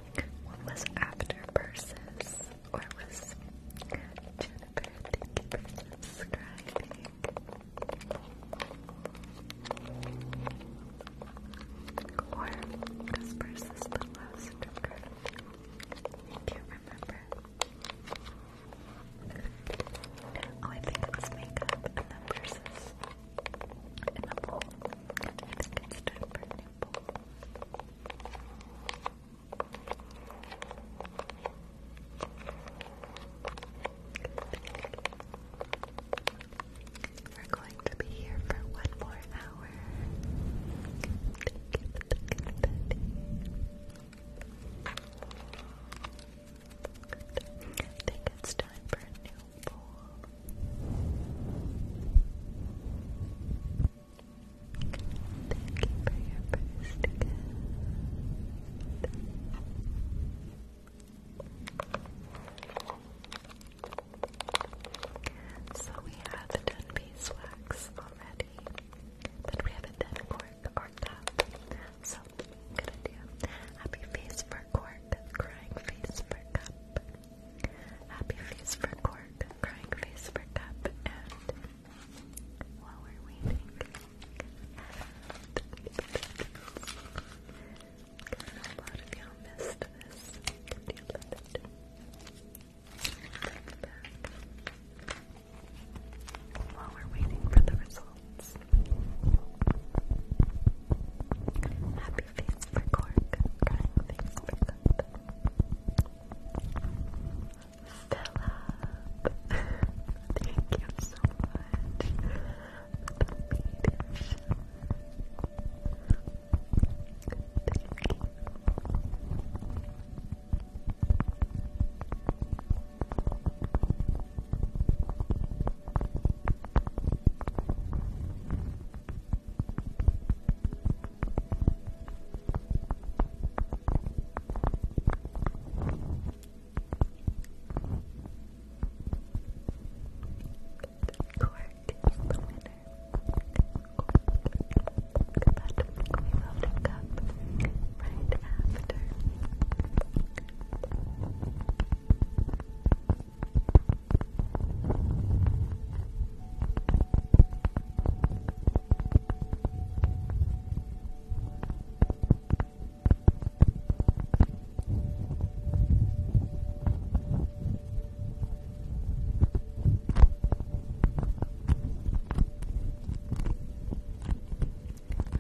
What was after Persis? Or was Jennifer? Thank you Or was Persis the last trigger? I can't remember. Oh, I think it was makeup and then Persis. In the bowl. I think we're going to be here for one more hour. I think it's time for a new bowl. Thank you So we have done beeswax already, but we haven't done cork or cup. So good idea. Happy face for cork, crying face for cup. Happy face for cork, crying face for cup, and while we're waiting. While we're waiting for the results. Happy face for cork, crying face for cup. Philip, thank you so much for the leadership. Cork is the winner. But we will pick up right after. Thank you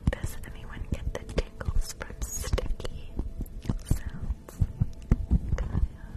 does anyone get the tingles from sticky sounds? Kyle,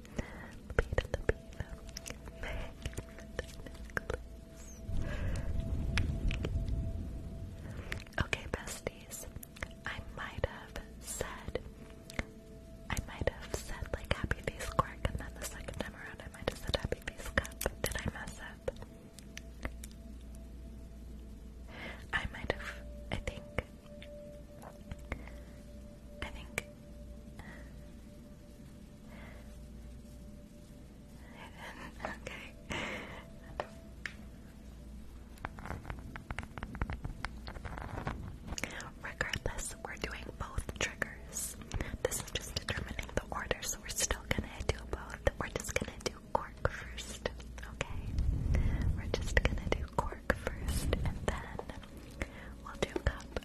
Lapita, Lapita. Okay, besties. I might have said I might have said like happy face quirk and then the second time around I might have said happy face cup. Did I mess up? I might have I think I think okay. Regardless, we're doing both triggers. This is just determining the order, so we're still gonna do both. We're just gonna do cork first, okay? We're just gonna do cork first, and then we'll do cup.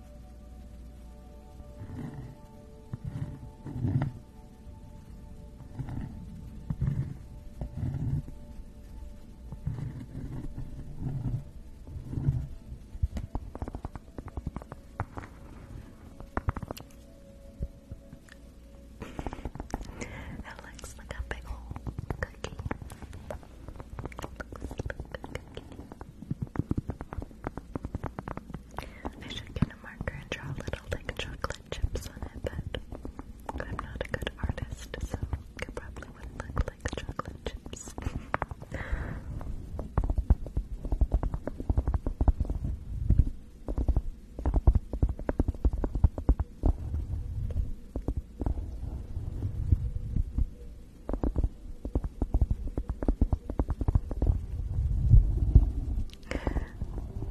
It looks like a big old cookie. I should get a marker and draw a little like chocolate chips on it, but I'm not a good artist, so it probably wouldn't look like chocolate chips.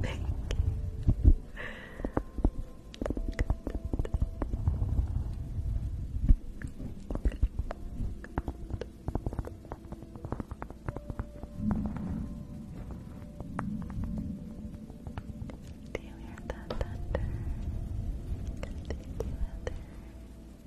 Thank you. Do you hear that thunder? Thank you, Heather. Thank you. Thank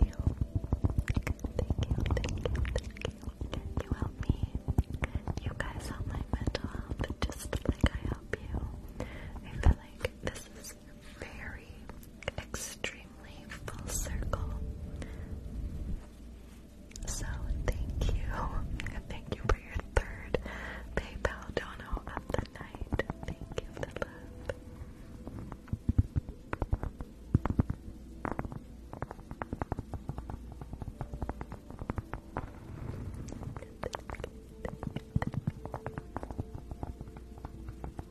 you, thank you, thank you. You help me. You guys help my mental health just like I help you. I feel like this is very extremely full circle. So thank you. Thank you for your third PayPal dono of the night. Thank you for the love. Hi,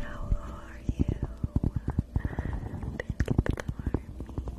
how are you? Thank you me.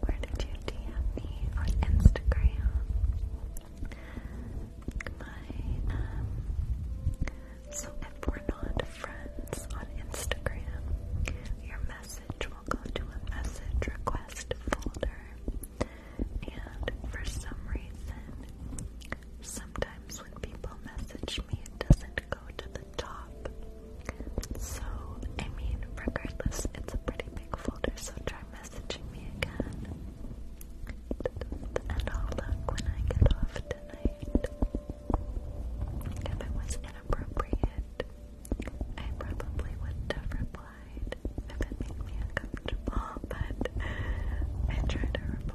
where did you DM me on Instagram? Um, so if we're not friends on Instagram, your message will go to a message request folder. And for some reason, sometimes when people message me, it doesn't go to the top. So, I mean, regardless, it's a pretty big folder, so try messaging me again. And I'll look when I get off tonight. If it was inappropriate, I probably would have replied if it made me uncomfortable, but I try to reply.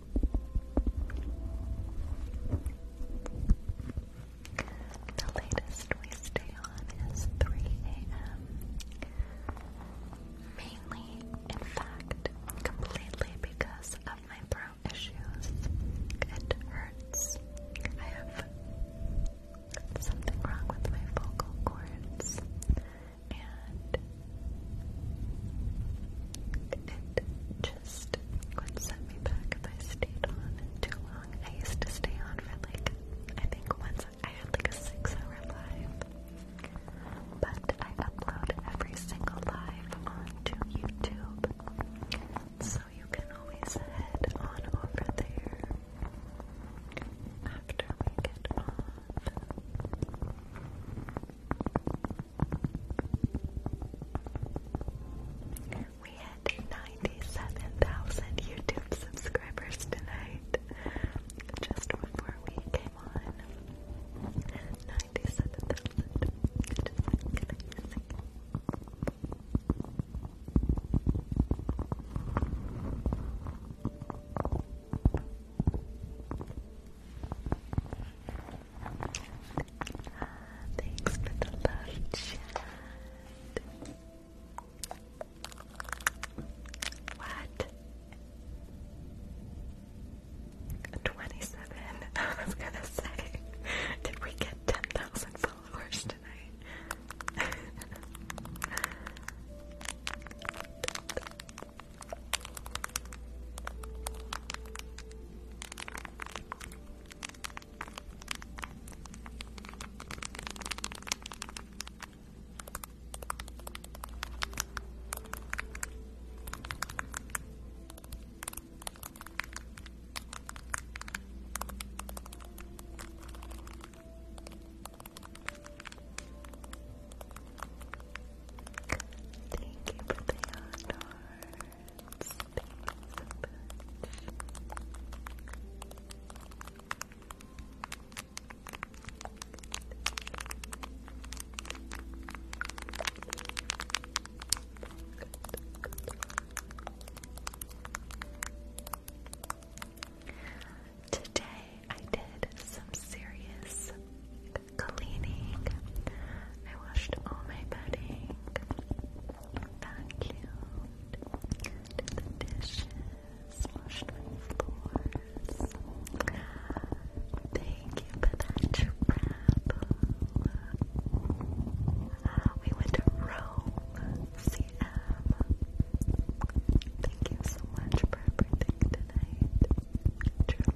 The latest we stay on is 3 a.m. Mainly, in fact, completely because of my throat issues. It hurts. I have something wrong with my vocal cords. And it just list. What set me back if I stayed on too long. I used to stay on for like, I think once I had like a six hour live. But I upload every single live onto YouTube. So you can always head on over there after we get off. We had 97,000 YouTube subscribers tonight, just before we came on. 97,000. Thanks for the love chat. What? 27. I was gonna say, did we get 10,000 followers tonight? Thank you for the honor. Today I did some serious cleaning. I washed all my bedding, vacuumed, did the dishes, washed my floors. Thank you for that we went to Rome, CM. Thank you so much for everything tonight.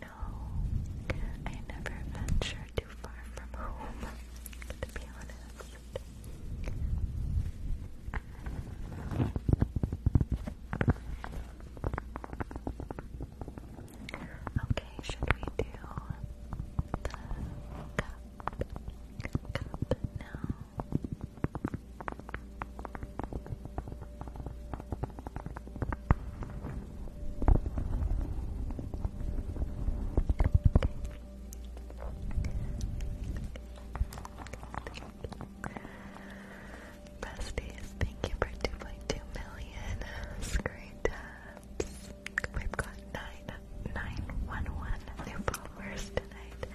No, I never venture too far from home, to be honest. Okay, should we do the cup, cup now? Besties, thank you for 2.2 million screen taps. We've got 9911 new followers tonight.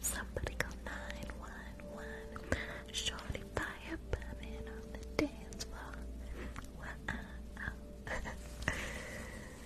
Somebody go 911. Shorty fire bumming on the dance floor. Wow.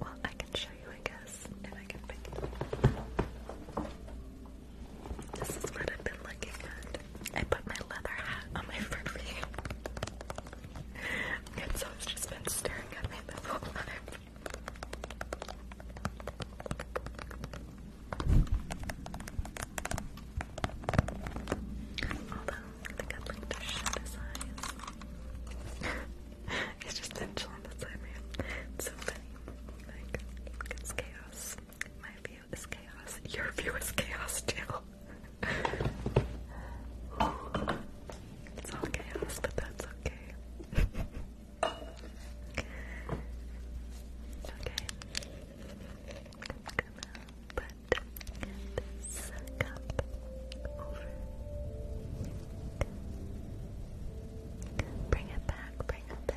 Well, I can show you, I guess, if I can This is what I've been looking at. I put my leather hat on my front and so it's just been staring at me the whole time. Although, I think i to shut his eyes. It's just nonchalant inside me. It's so funny. Like, it's chaos. My view is chaos. Your view is chaos too. it's all chaos, but that's okay. okay. I'm gonna put this cup over Bring it back, bring it back.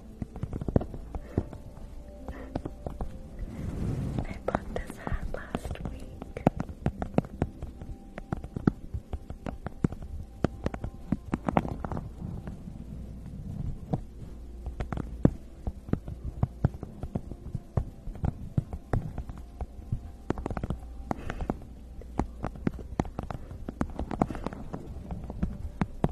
I bought this hat last week.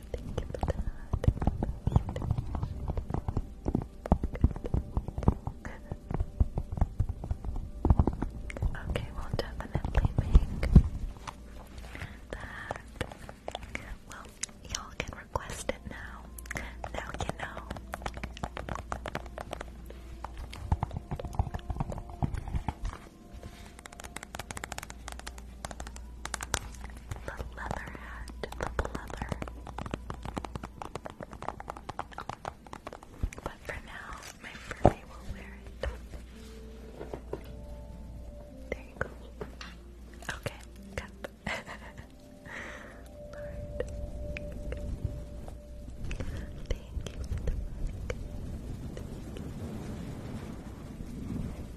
Thank you Okay, we'll definitely make that. Well, y'all can request it now. Now you know the leather hat, the leather. But for now, my Furby will wear it. There you go. Okay, cup. Thank you.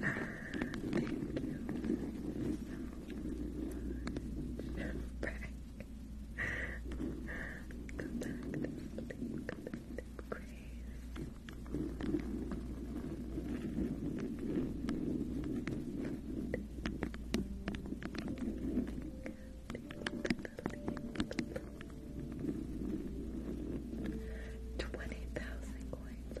Thank you Back. Come back Come back crazy. Twenty thousand coins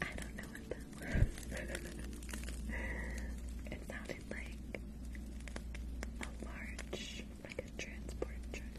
I don't know what that was. it sounded like a large, like a transport truck.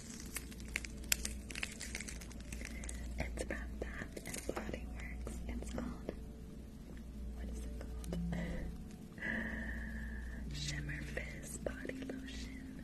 It's about that and Body Works. It's called. What is it called? Shimmer Body Lotion.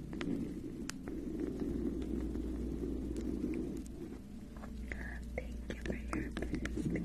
Thank you for your best.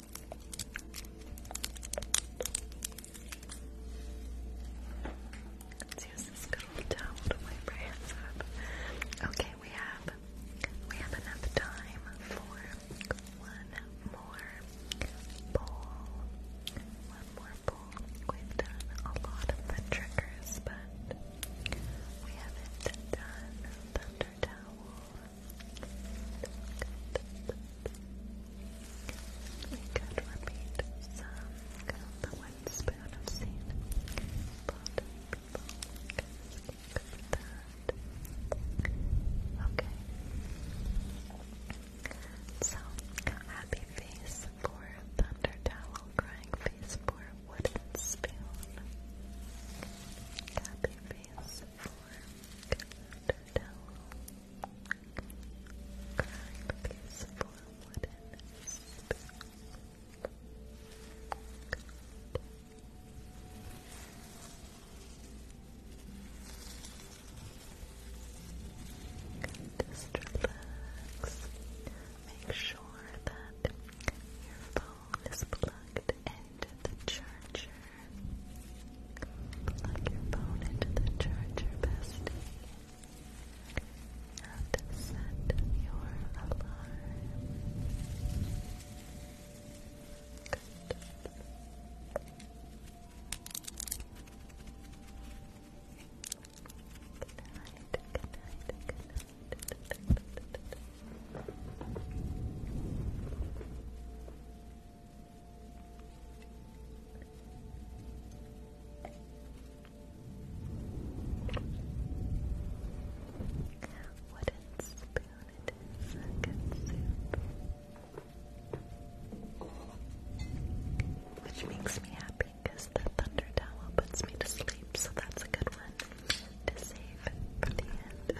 Let's use this good old towel to wipe our hands up. Okay, we have we have enough time for one more bowl. One more bowl. We've done a lot of the triggers, but we haven't done thunder towel. Good. We could repeat some the one spoon of seed. But Okay. So, happy face for thunder towel, crying face for wooden spoon. Happy face for thunder towel. Carve these four Just relax. Make sure that your phone is plugged into the charger Plug your phone into the charger, bestie. And set your alarm. Good. Good night, good night, good night. Wooden spoon, it is Which makes me happy because the thunder towel puts me to sleep, so that's a good one to save for the end.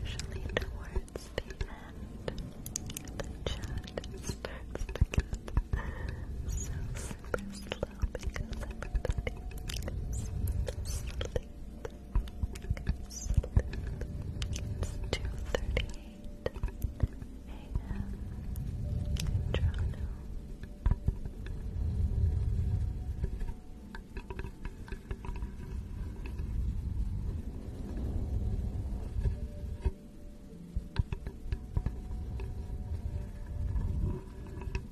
Usually towards the end, the chat starts to get so super because everybody goes to sleep. Sleep. It's 2.38 a.m. in Toronto. Thank you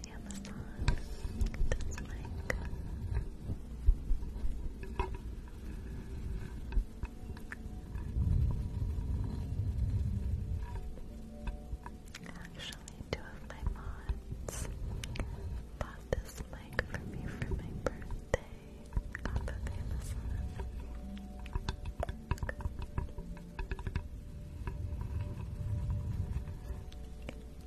on Amazon. Actually, two of my mods bought this mic for me for my birthday off of Amazon.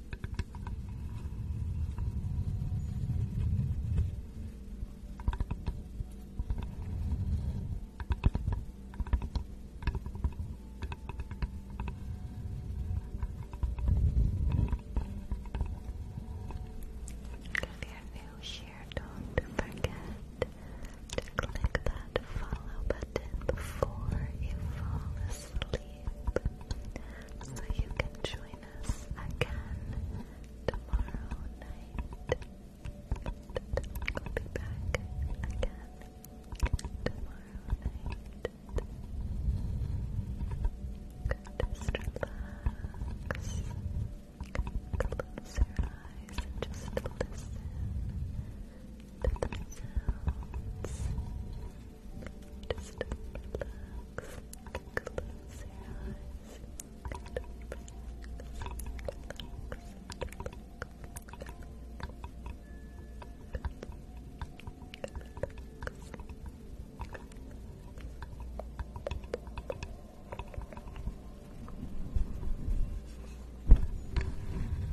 If you're new here, don't forget to click that follow button before you fall asleep so you can join us again tomorrow night. We'll be back again tomorrow night. Close your eyes and just listen to the sounds. Just relax. Close your eyes. And relax.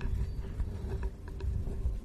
Relax. Relax. Relax.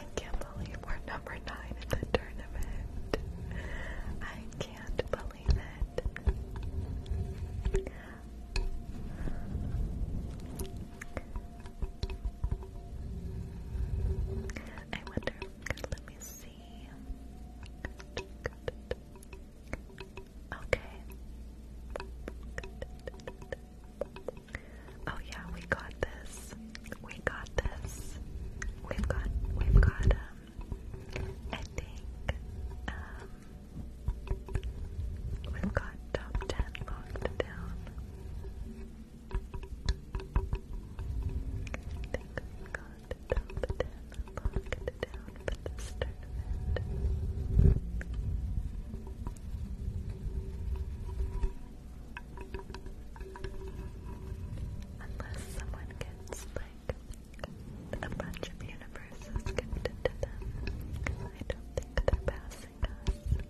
I can't believe we're number nine in the tournament. I can't believe it. I wonder. Let me see. Okay. Oh yeah, we got this. We got this. We've got we've got um I think um we've got top ten locked down. I think we've got top ten locked down for this tournament. Unless someone gets like a bunch of universes gifted to them, I don't think they're passing us.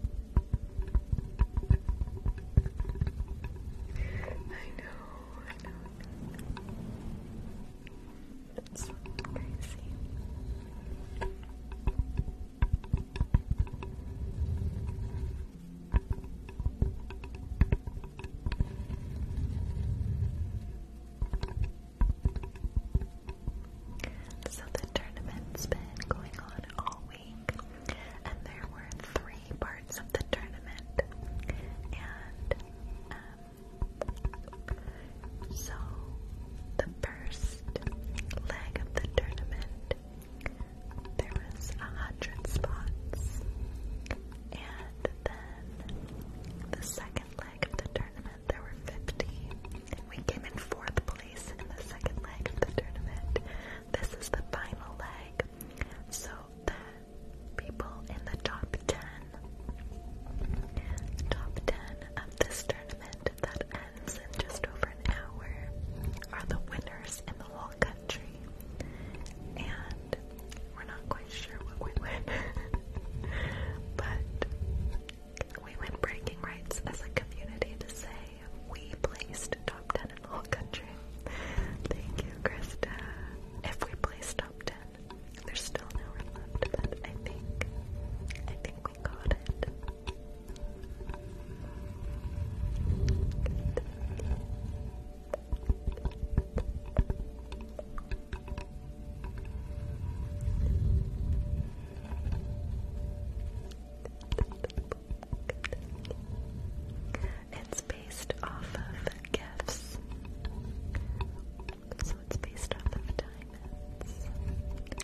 I know, I know. It's crazy. So the tournament's been going on all week, and there were three parts of the tournament, and um, so the first leg of the tournament there was a hundred spots. And then the second leg of the tournament, there were 50. We came in fourth place in the second leg of the tournament. This is the final leg. So the people in the top 10, top 10 of this tournament that just over an hour are the winners in the whole country. And we're not quite sure what we win. but we win breaking rights as a community to say we placed top 10 in the whole country. Thank you, Krista. If we place top 10, there's still an hour but I think, I think we got it. It's based off of gifts. So it's based off of diamonds.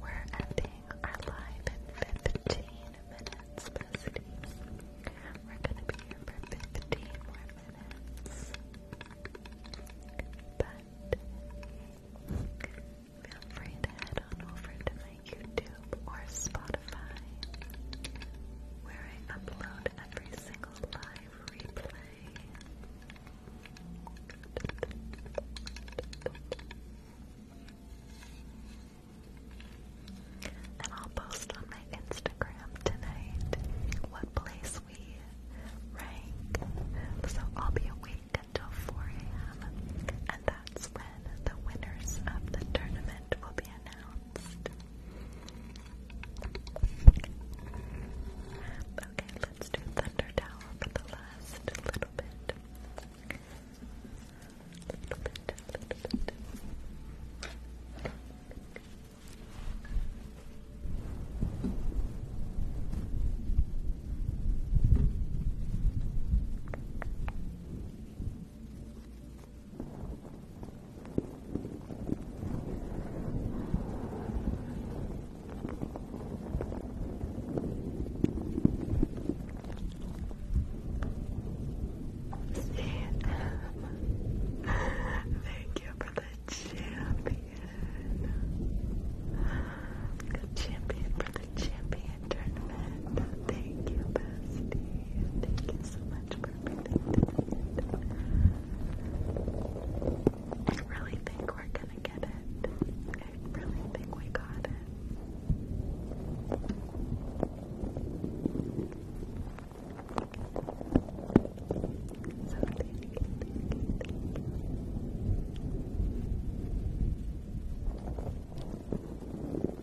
We're ending our live in 15 minutes, besties. We're gonna be here for 15 more minutes. But feel free to head on over to my YouTube or Spotify, where I upload every single live replay. And I'll post on my Instagram tonight what place we rank. So I'll be awake until 4 a.m. and that's when the winners of the tournament will be announced. Okay, let's do Thunder Tower for the last little bit. Little bit, little bit. Okay. Thank you for the champion. Good champion for the champion tournament. Thank you, bestie. Thank you so much for I really think we're gonna get it. I really think we got it. So thank Thank you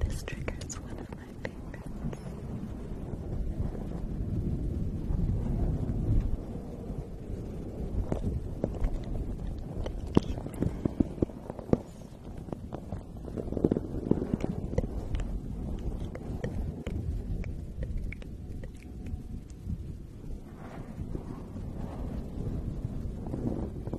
This trigger is one of my favorites. Thank you, Thank you.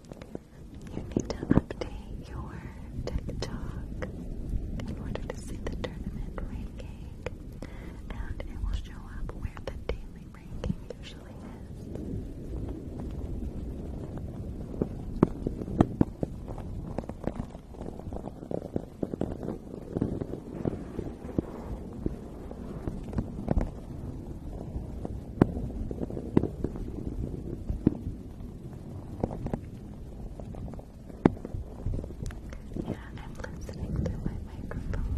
You need to update your TikTok in order to see the tournament ranking, and it will show up where the daily ranking usually is. Yeah, I'm listening through my microphone.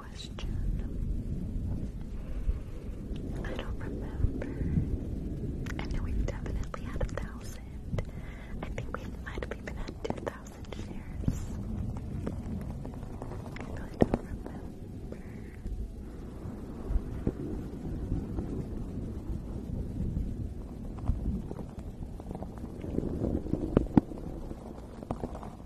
I don't remember. I know we've definitely had a thousand. I think we might have even had two thousand shares. I really don't remember.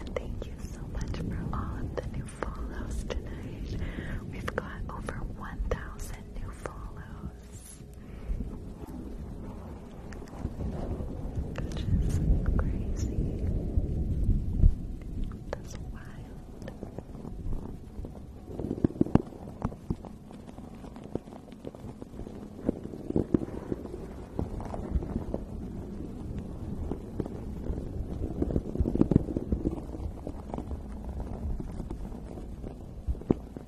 And thank you so much for all of the new follows tonight. We've got over 1,000 new follows. Which crazy. That's wild.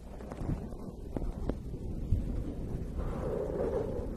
Everything's gonna be okay. You're going to get through this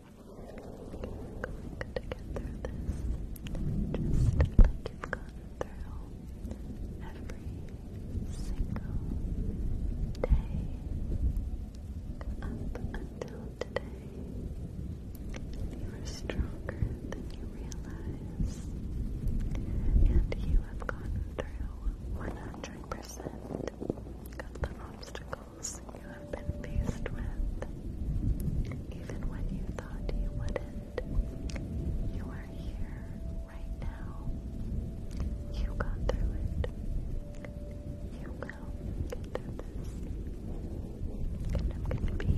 going to get through this just like you've gone through every single day up until today. You are stronger than you realize, and you have gone through 100% of the obstacles you have been faced with, even when you thought you wouldn't. You are here right now. You got through it. You will get through this. I'm going to be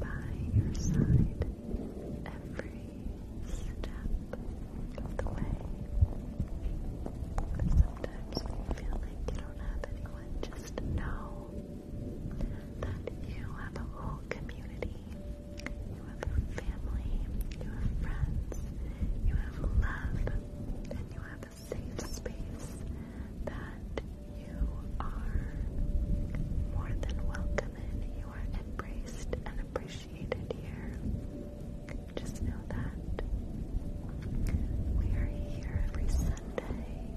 by your side every step of the way sometimes you feel like you don't have anyone, just know that you have a whole community. You have your family, you have friends, you have love, and you have a safe space that you are more than welcome in. You are embraced and appreciated here. Just know that we are here every Sunday,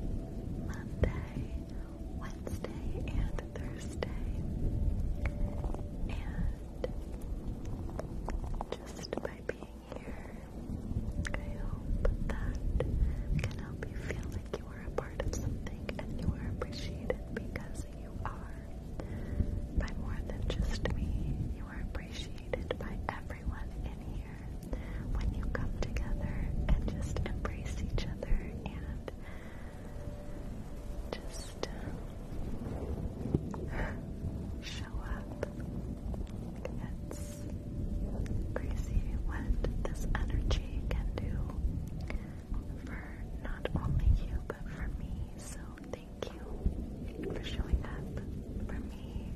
Monday, Wednesday, and Thursday. And just by being here, I hope that can help you feel like you are a part of something and you are appreciated because you are. By more than just me, you are appreciated by everyone in here when you come together and just embrace each other and just uh, show up. It's crazy what this energy can do for not only you but for me. So thank you for showing up for me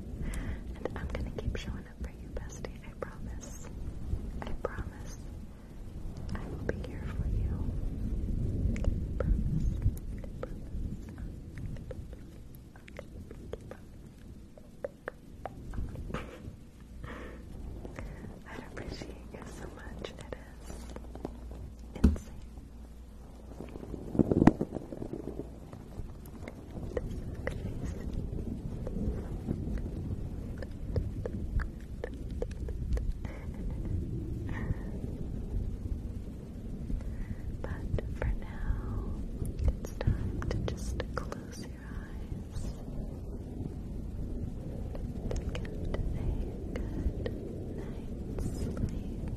I'm gonna keep showing up for you, bestie. I promise. I promise. I will be here for you. I appreciate you so much. It is insane. But for now, it's time to just close your eyes. To get a good night's sleep.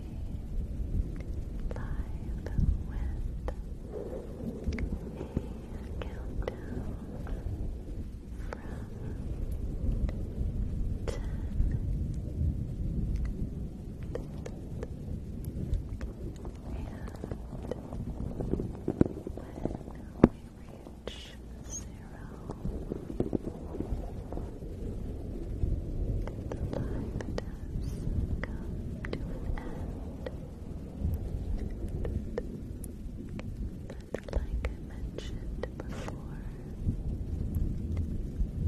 live with a countdown from ten and when we reach zero, the life does come to an end. But like I mentioned before,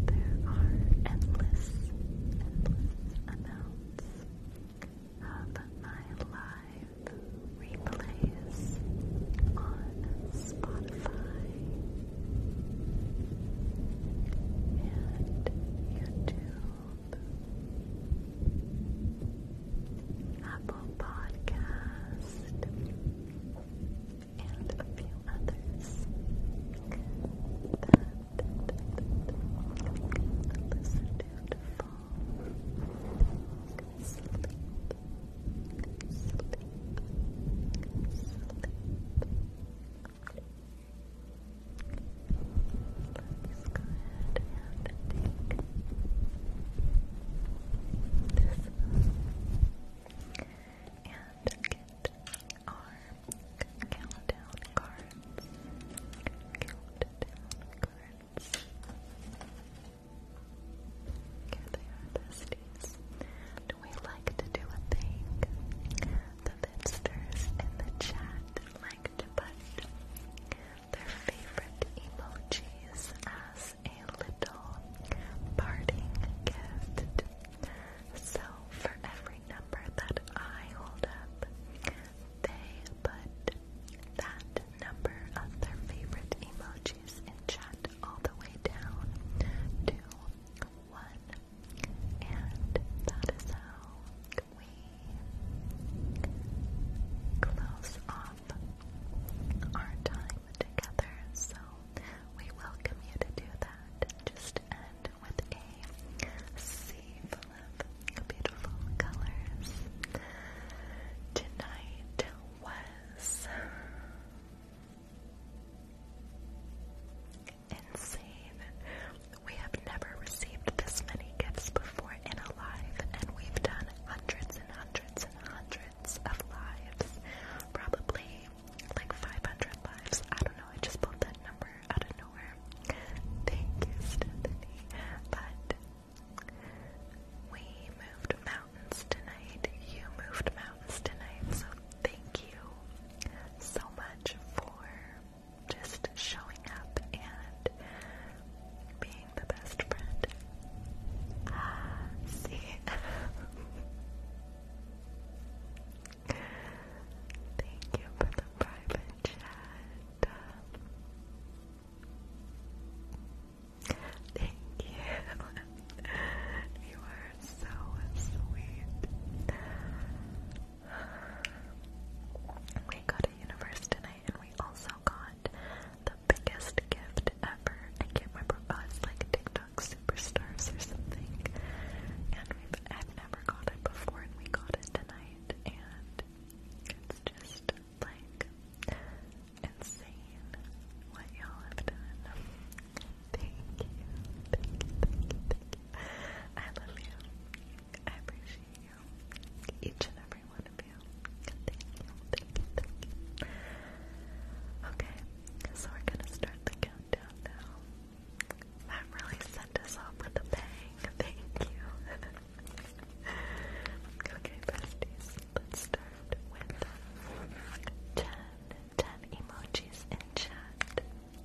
there are endless, endless amounts of my live replays on Spotify and YouTube, Apple Podcast, and a few others that you listen to fall asleep. Sleep, sleep, sleep, Let's go ahead and take this and get our countdown cards. Countdown cards. Here they are, besties and we like to do a thing. The Vinsters in the chat like to put their favorite emojis as a little parting gift. So for every number that I hold up, they put that number of their favorite emojis in chat all the way down to one and that is how we close off our time together. So we welcome you to do that. Just end with a sea full of beautiful colors. Tonight was insane. We have never received this many gifts before in a live, and we've done hundreds and hundreds and hundreds of lives. Probably like 500 lives. I don't know, I just pulled that number out of nowhere. Thank you, Stephanie. But we moved mountains tonight. You moved mountains tonight, so thank you so much for just showing up and being the best friend. Ah, see? Thank you for the private chat. Thank you. you are so sweet. We got a universe tonight, and we also got the biggest gift ever. I can't remember. like TikTok superstars or something. And we've I've never got it before, and we got it tonight, and it's just like insane what y'all have done. Thank you. Thank you. Thank you. Thank you. I love you. I appreciate you. Each and every one of you. Thank you. Thank you. Thank you. Okay, so we're gonna start the countdown now. That really sent us off with a bang. Thank you. okay, besties, let's start with um, emojis in chat.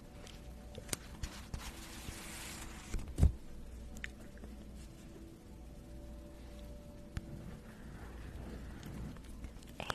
Eight. Eight.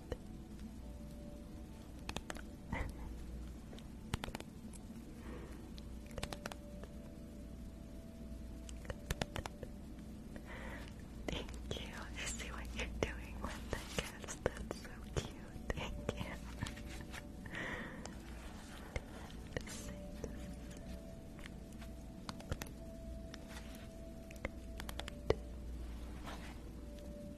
Thank you. I see what you're doing with the gifts. That's so cute. Thank you.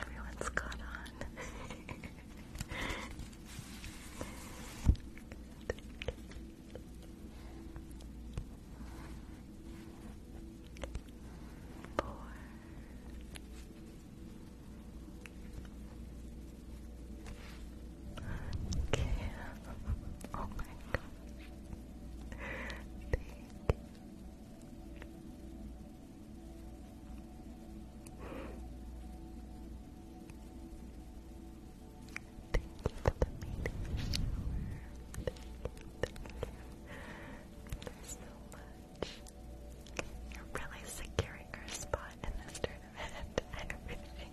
Everyone's caught on. four, okay, oh my gosh, thank you. Thank you for the meeting. thank you. Thank you so much much. You're really securing your spot in this tournament and everything.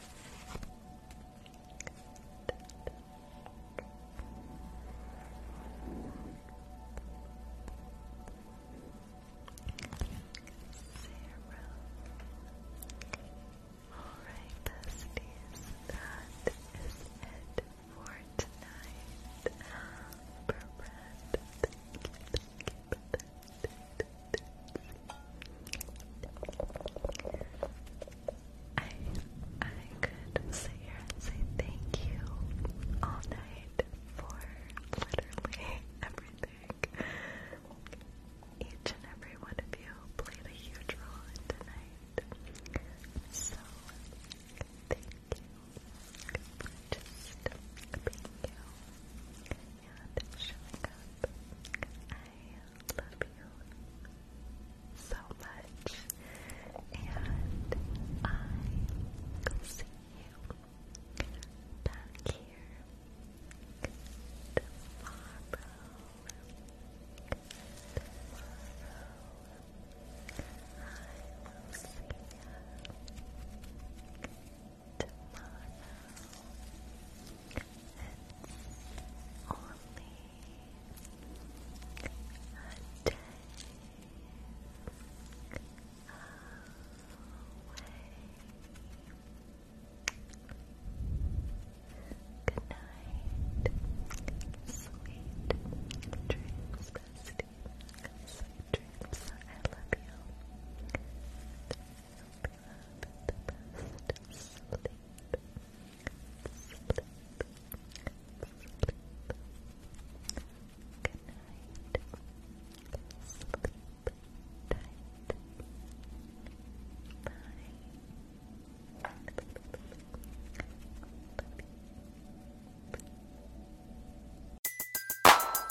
Alright, that is it for tonight. Brad, thank you, I, I could sit here and say thank you all night for literally everything. Each and every one of you played a huge role in tonight. So, thank you for just being you and showing up. I love you so much, and I will see you back here tomorrow. Tomorrow, I will see you. It's only a day away. Good night, sweet dreams, Sweet dreams. I love you.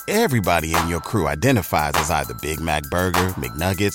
Everybody in your crew identifies as either Big Mac Burger, McNuggets,